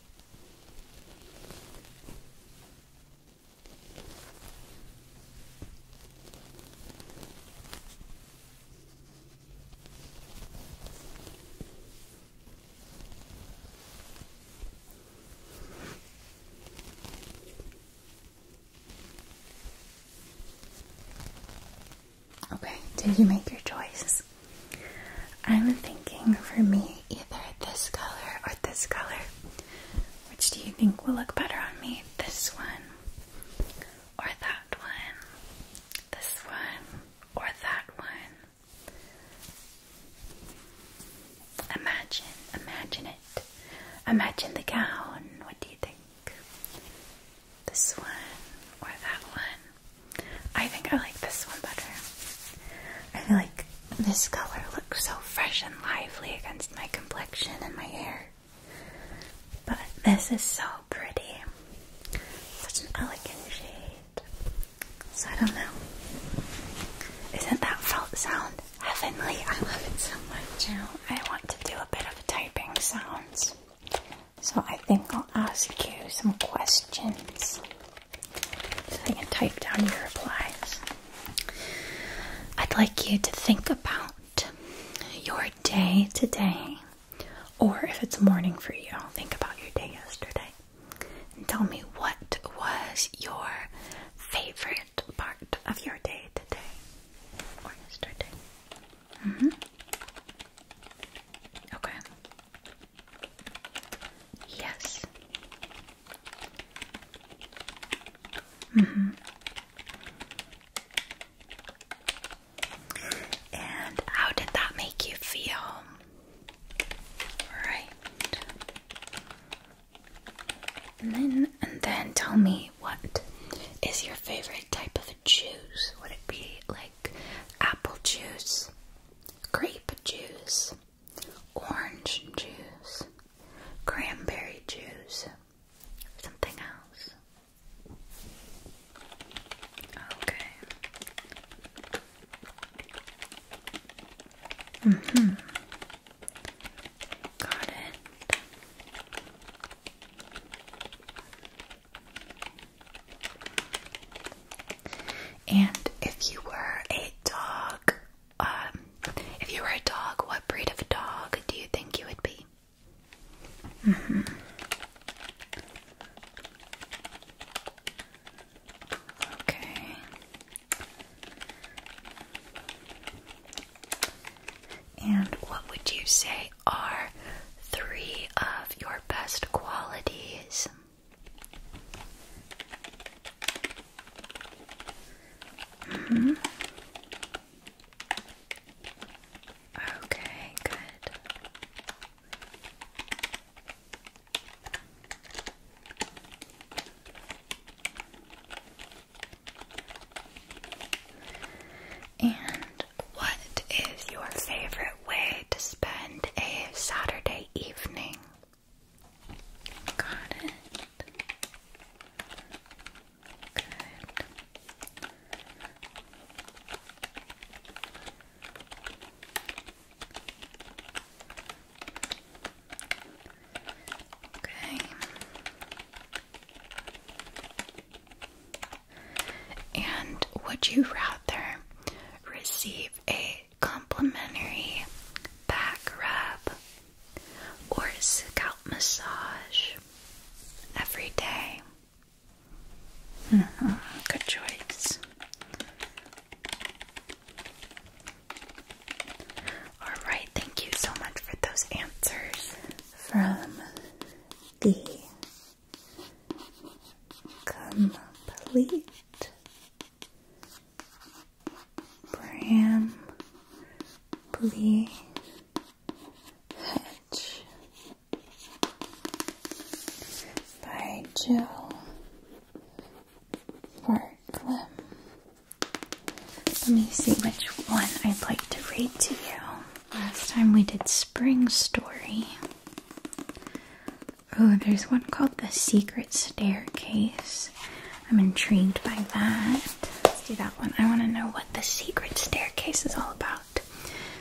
Okay, did you make your choice? I'm thinking for me either this color or this color. Which do you think will look better on me? This one or that one? This one or that one? Imagine, imagine it. Imagine the gown. What do you think? This one or that one? I think I like this one better. I feel like this color looks so fresh and lively against my complexion and my hair. But this is so pretty. Such an elegant shade. So I don't know. Isn't that felt sound heavenly? I love it so much. Now I want to do a bit of typing sounds. So I think I'll ask you some questions. So you can type down your replies. I'd like you to think about your day today, or if it's morning for you, think about your day yesterday. And tell me what was your favorite part of your day today or yesterday. Mm-hmm. Okay. Yes. hmm And how did that make you feel? Right. And then, and then tell me what is your favorite type of juice? Would it be like apple juice, grape juice, orange juice, cranberry juice, something else. Okay. Mm-hmm. Got it. And if you were a dog, um, if you were a dog, what breed of a dog do you think you would be? Mm-hmm. Okay. And what would you say are three of your best qualities? Mm-hmm. Okay, good. And what is your favorite way to spend a Saturday evening? Got it. Good. Okay. And would you rather receive a complimentary back rub or scalp massage every day. Mm-hmm. Good choice. Alright, thank you so much for those answers from the complete Bram Blee Hedge by Jill Bartlam. Let me see which one I'd like to read to you. Last time we did Spring Story. Oh, there's one called The Secret Staircase. I'm intrigued by that. Let's do that one. I want to know what The Secret Staircase is all about.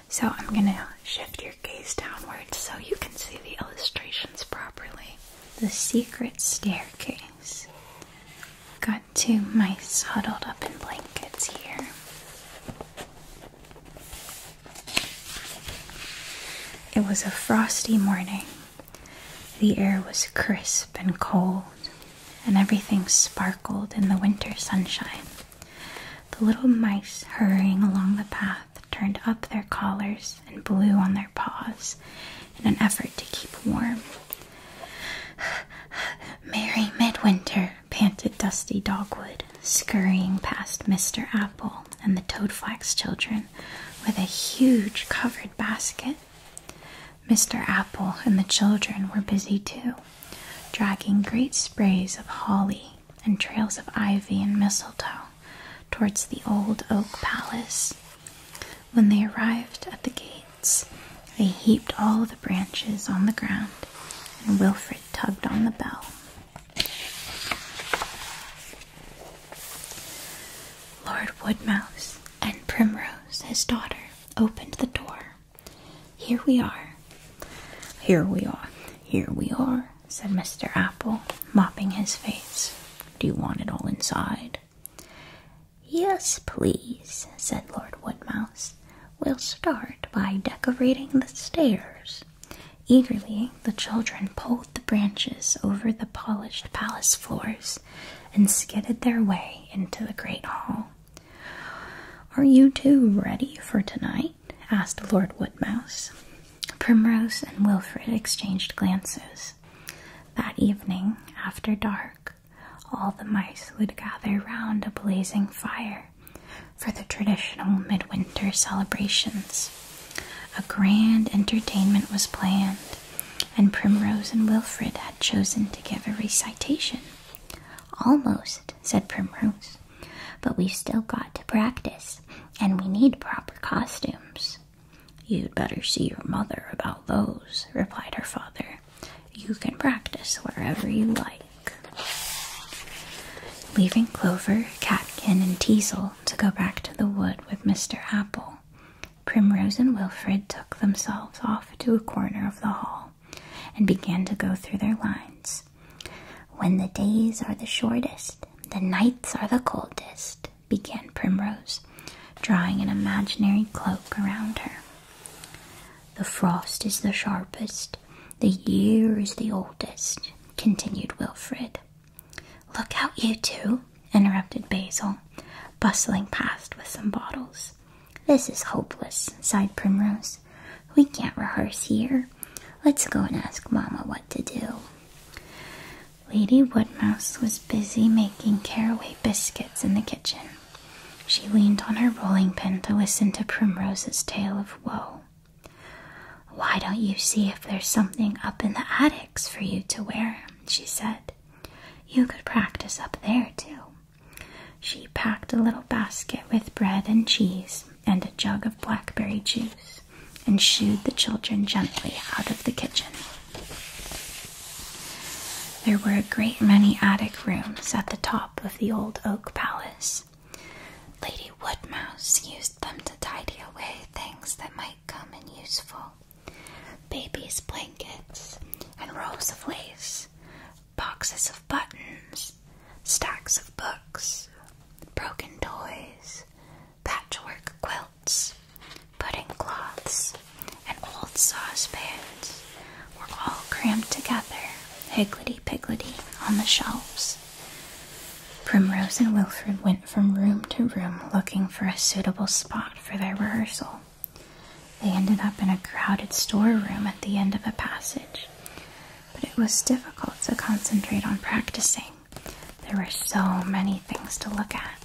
So I'm going to shift your gaze downwards so you can see the illustrations properly. The Secret Staircase. Got two mice huddled up in blankets here. It was a frosty morning the air was crisp and cold, and everything sparkled in the winter sunshine. The little mice hurrying along the path turned up their collars and blew on their paws in an effort to keep warm. Merry Midwinter, panted Dusty Dogwood, scurrying past Mr. Apple and the Toadflax children with a huge covered basket. Mr. Apple and the children were busy too, dragging great sprays of holly and trails of ivy and mistletoe towards the old oak palace. When they arrived at the gates, they heaped all the branches on the ground, and Wilfred tugged on the bell. Lord Woodmouse and Primrose, his daughter, opened the door. Here we are. Here we are. Here we are, said Mr. Apple, mopping his face. Do you want it all inside? Yes, please, said Lord Woodmouse. We'll start by decorating the stairs. Eagerly, the children pulled the branches over the polished palace floors and skidded their way into the great hall. Are you two ready for tonight? asked Lord Woodmouse. Primrose and Wilfred exchanged glances. That evening, after dark, all the mice would gather round a blazing fire for the traditional midwinter celebrations. A grand entertainment was planned, and Primrose and Wilfred had chosen to give a recitation. Almost, said Primrose, but we've still got to practice, and we need proper costumes. You'd better see your mother about those, replied her father. You can practice wherever you like. Leaving Clover, Catkin, and Teasel to go back to the wood with Mr. Apple, Primrose and Wilfred took themselves off to a corner of the hall and began to go through their lines. When the days are the shortest, the nights are the coldest, began Primrose, drawing an imaginary cloak around her. The frost is the sharpest, the year is the oldest, continued Wilfred. Look out, you two, interrupted Basil, bustling past with some bottles. This is hopeless, sighed Primrose. We can't rehearse here. Let's go and ask Mamma what to do. Lady Woodmouse was busy making caraway biscuits in the kitchen. She leaned on her rolling pin to listen to Primrose's tale of woe. Why don't you see if there's something up in the attics for you to wear? she said. You could practice up there, too. She packed a little basket with bread and cheese and a jug of blackberry juice and shooed the children gently out of the kitchen. There were a great many attic rooms at the top of the old oak palace. Lady Woodmouse used them to tidy away things that might quite common useful. Babies' blankets and rolls of lace, boxes of buttons, stacks of books, broken toys, patchwork quilts, pudding cloths, and old saucepans were all crammed together, higgledy piggledy, on the shelves. Primrose and Wilfred went from room to room looking for a suitable spot for their rehearsal. They ended up in a crowded storeroom at the end of a passage, but it was difficult to concentrate on practicing. There were so many things to look at.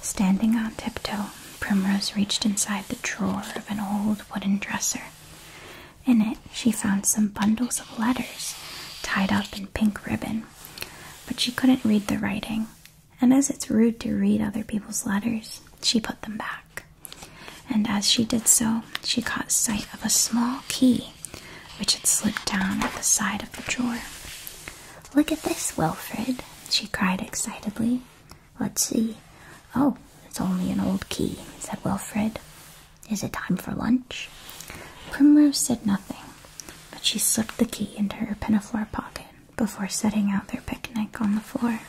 Standing on tiptoe, Primrose reached inside the drawer of an old wooden dresser. In it, she found some bundles of letters tied up in pink ribbon, but she couldn't read the writing, and as it's rude to read other people's letters, she put them back. And as she did so, she caught sight of a small key which had slipped down at the side of the drawer. Look at this, Wilfred, she cried excitedly. Let's see. Oh, it's only an old key, said Wilfred. Is it time for lunch? Primrose said nothing, but she slipped the key into her pinafore pocket before setting out their picnic on the floor.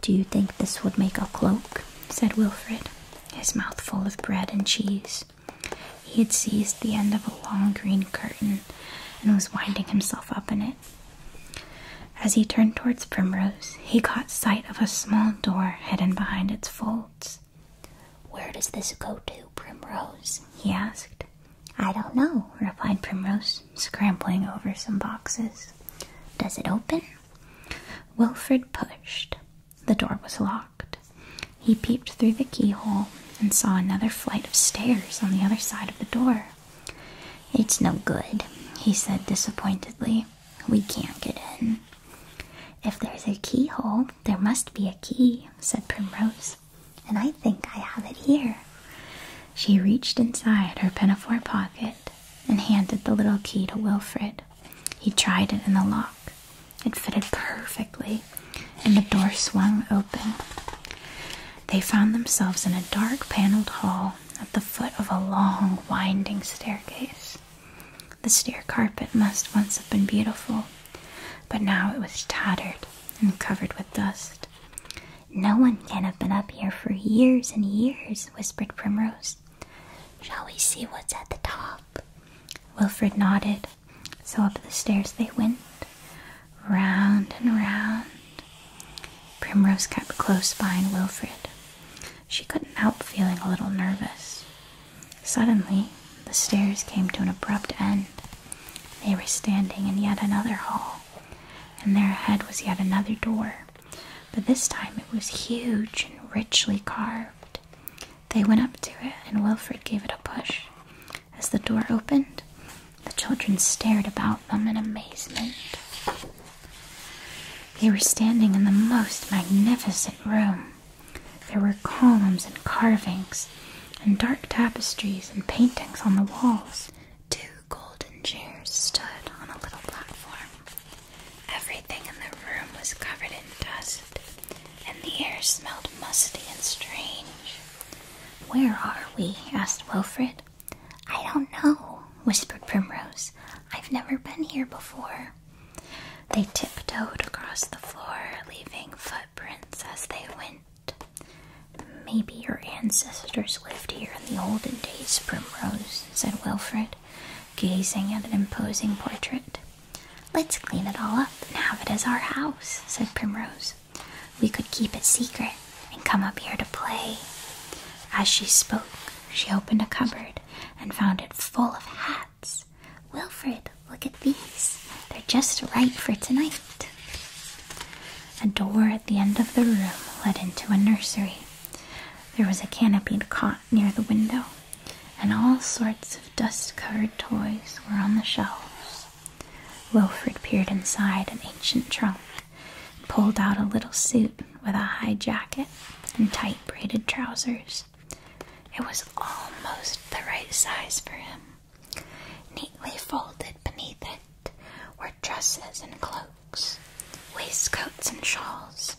Do you think this would make a cloak? said Wilfred, his mouth full of bread and cheese. He had seized the end of a long green curtain and was winding himself up in it. As he turned towards Primrose, he caught sight of a small door hidden behind its folds. Where does this go to, Primrose? he asked. I don't know, replied Primrose, scrambling over some boxes. Does it open? Wilfred pushed. The door was locked. He peeped through the keyhole and saw another flight of stairs on the other side of the door. It's no good, he said disappointedly. We can't get in. If there's a keyhole, there must be a key, said Primrose and I think I have it here. She reached inside her pinafore pocket and handed the little key to Wilfred. He tried it in the lock. It fitted perfectly, and the door swung open. They found themselves in a dark paneled hall at the foot of a long, winding staircase. The stair carpet must once have been beautiful, but now it was tattered and covered with dust. No one can have been up here for years and years, whispered Primrose. Shall we see what's at the top? Wilfred nodded, so up the stairs they went, round and round. Primrose kept close behind Wilfred. She couldn't help feeling a little nervous. Suddenly, the stairs came to an abrupt end. They were standing in yet another hall, and there ahead was yet another door, but this time it was huge and richly carved. They went up to it, and Wilfred gave it a push. As the door opened, the children stared about them in amazement. They were standing in the most magnificent room. There were columns and carvings, and dark tapestries and paintings on the walls. Two golden chairs stood on a little platform. Everything in the room was covered in dust, and the air smelled musty and strange. Where are we? asked Wilfred. I don't know, whispered Primrose. I've never been here before. They tiptoed across the floor, leaving footprints. Prince, as they went. Maybe your ancestors lived here in the olden days, Primrose, said Wilfred, gazing at an imposing portrait. Let's clean it all up and have it as our house, said Primrose. We could keep it secret and come up here to play. As she spoke, she opened a cupboard and found it full of hats. Wilfred, look at these. They're just right for tonight. A door at the end of the room led into a nursery. There was a canopied cot near the window, and all sorts of dust covered toys were on the shelves. Wilfred peered inside an ancient trunk and pulled out a little suit with a high jacket and tight braided trousers. It was almost the right size for him. Neatly folded beneath it were dresses and cloaks, waistcoats and shawls,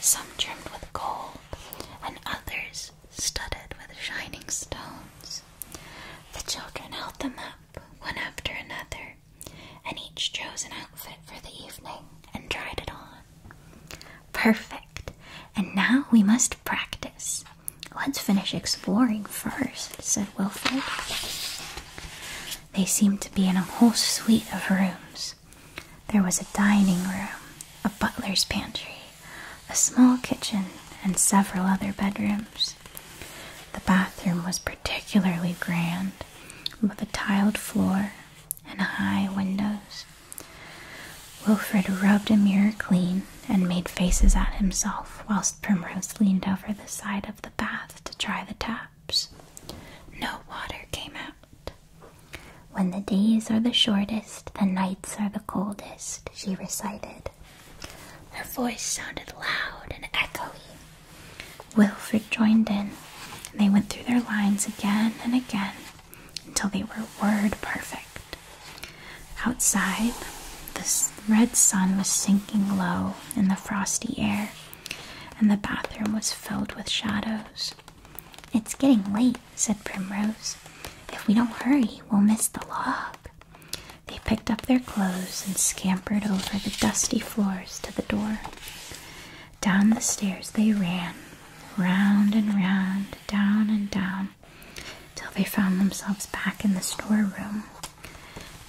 some trimmed with gold, and others studded with shining stones. The children held them up one after another, and each chose an outfit for the evening and tried it on. Perfect! And now we must practice. Let's finish exploring first, said Wilfred. They seemed to be in a whole suite of rooms. There was a dining room, a butler's pantry, a small kitchen, and several other bedrooms. The bathroom was particularly grand, with a tiled floor and high windows. Wilfred rubbed a mirror clean and made faces at himself whilst. Primrose leaned over the side of the bath to try the taps. No water came out. When the days are the shortest, the nights are the coldest, she recited. Her voice sounded loud and echoey. Wilfred joined in, and they went through their lines again and again until they were word perfect. Outside, the red sun was sinking low in the frosty air, and the bathroom was filled with shadows. It's getting late, said Primrose. If we don't hurry, we'll miss the log. They picked up their clothes and scampered over the dusty floors to the door. Down the stairs they ran, round and round, down and down, till they found themselves back in the storeroom.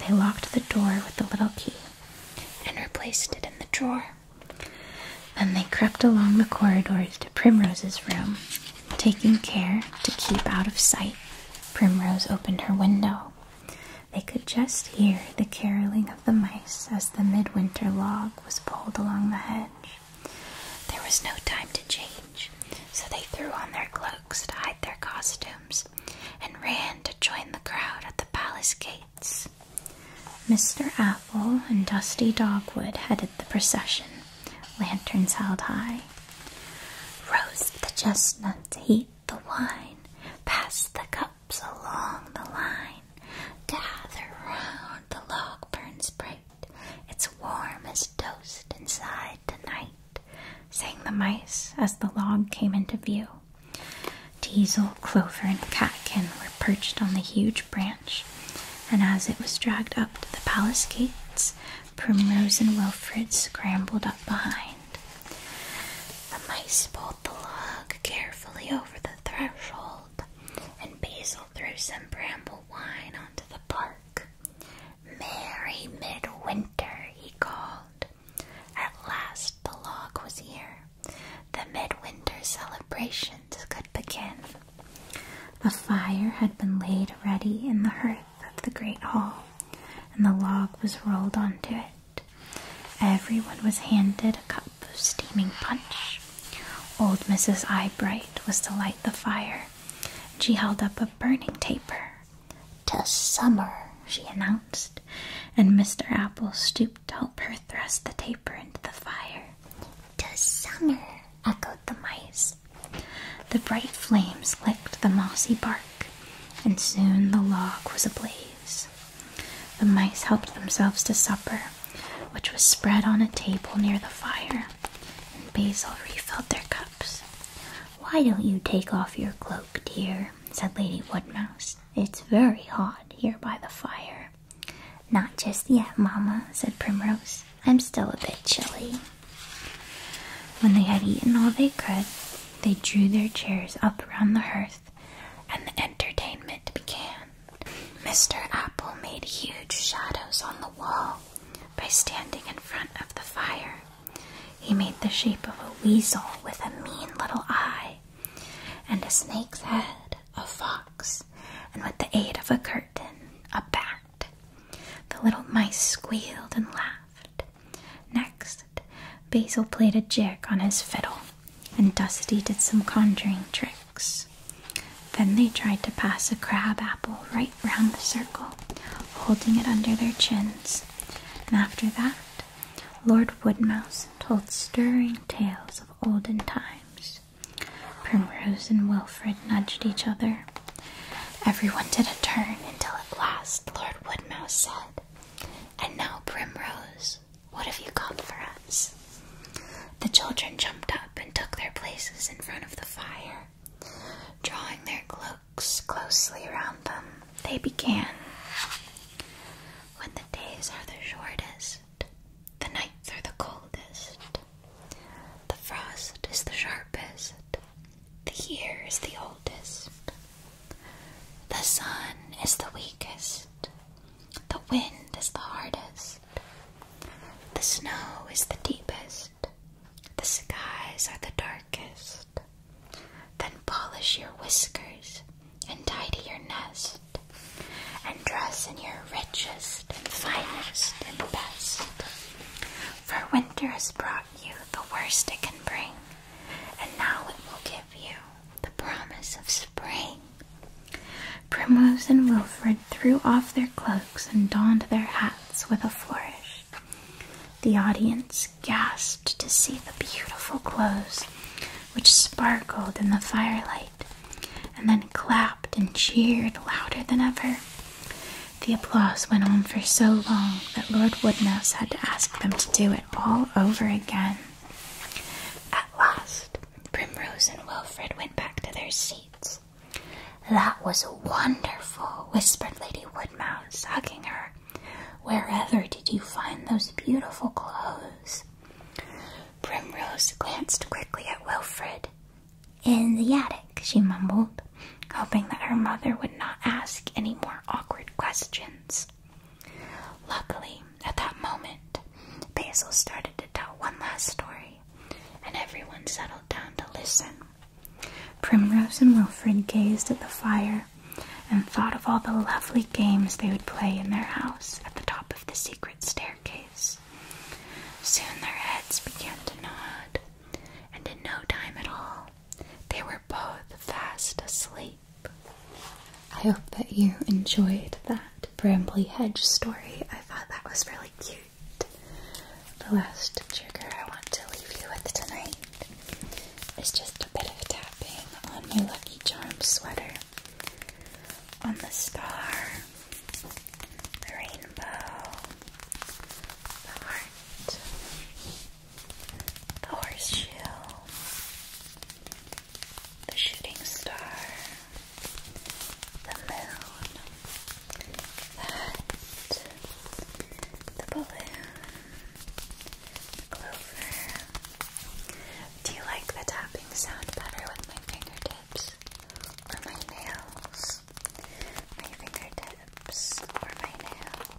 They locked the door with the little key and replaced it in the drawer. Then they crept along the corridors to Primrose's room. Taking care to keep out of sight, Primrose opened her window. They could just hear the caroling of the mice as the midwinter log was pulled along the hedge. There was no time to change, so they threw on their clothes to hide their costumes and ran to join the crowd at the palace gates. Mr. Apple and Dusty Dogwood headed the procession, lanterns held high. Roast the chestnuts, heat the wine, pass the cups along the line, gather round the log burns bright, it's warm as toast inside tonight sang the mice as the log came into view. Diesel, Clover, and Catkin were perched on the huge branch, and as it was dragged up to the palace gates, Primrose and Wilfred scrambled up behind. The mice pulled the log carefully over the threshold, and Basil threw some bramble wine onto the bark. Merry midwinter he called. At last the log was here. The midwinter celebrations could begin. The fire had been laid ready in the hearth of the great hall, and the log was rolled onto it. Everyone was handed a cup of steaming punch. Old Mrs. Eyebright was to light the fire, she held up a burning taper to summer, she announced, and Mr. Apple stooped to help her thrust the taper into the fire. To summer, echoed the mice. The bright flames licked the mossy bark, and soon the log was ablaze. The mice helped themselves to supper, which was spread on a table near the fire, and Basil refilled their cups. Why don't you take off your cloak, dear? said Lady Woodmouse. It's very hot here by the fire. Not just yet, Mamma, said Primrose. I'm still a bit chilly. When they had eaten all they could, they drew their chairs up round the hearth, and the entertainment began. Mr. Apple made huge shadows on the wall by standing in front of the fire. He made the shape of a weasel with a mean little eye, and a snake's head, a fox, and with the aid of a curtain, a bat. The little mice squealed and laughed. Next, Basil played a jig on his fiddle, and Dusty did some conjuring tricks. Then they tried to pass a crab apple right round the circle, holding it under their chins and after that, Lord Woodmouse told stirring tales of olden times. Primrose and Wilfred nudged each other. Everyone did a turn until at last Lord Woodmouse said, And now, Primrose, what have you got for us? The children jumped up and took their places in front of the fire. Drawing their cloaks closely around them, they began. When the days are the shortest, the nights are the coldest, the frost is the sharpest, the year is the oldest, the sun is the weakest, the wind is the hardest, the snow is the deepest, the skies are the darkest. Then polish your whiskers and tidy your nest, and dress in your richest and finest and best. For winter has brought you the worst it can bring, and now it will give you the promise of spring. Primrose and Wilfred threw off their cloaks and donned their hats with a flourish. The audience gasped to see the beautiful clothes which sparkled in the firelight and then clapped and cheered louder than ever. The applause went on for so long that Lord Woodmouse had to ask them to do it all over again. At last, Primrose and Wilfred went back to their seats. That was wonderful, whispered Lady Woodmouse, hugging her wherever did you find those beautiful clothes? Primrose glanced quickly at Wilfred. In the attic, she mumbled, hoping that her mother would not ask any more awkward questions. Luckily, at that moment, Basil started to tell one last story, and everyone settled down to listen. Primrose and Wilfred gazed at the fire and thought of all the lovely games they would play in their house at the top of the secret staircase. Soon their heads began to nod, and in no time at all, they were both fast asleep. I hope that you enjoyed that brambley Hedge story. I thought that was really cute. The last trigger I want to leave you with tonight it's just a bit of tapping on my Lucky charm sweater, on the star, the rainbow, the heart, the horseshoe, the shooting star, the moon, the hat, the balloon, do you like the tapping sound better with my fingertips or my nails? My fingertips or my nails?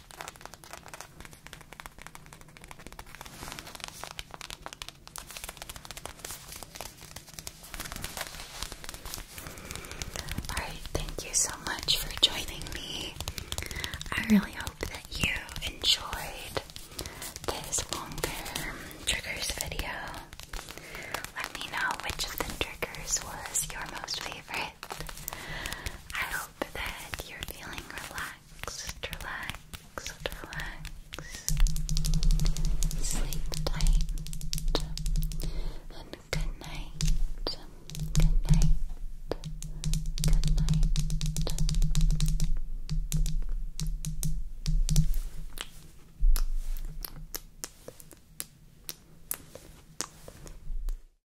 All right, thank you so much for joining me. I really hope that you enjoyed this longer triggers video. Let me know which of the triggers was your most favorite that you're feeling relaxed, relaxed, relaxed. Sleep tight. And good night. Good night. Good night.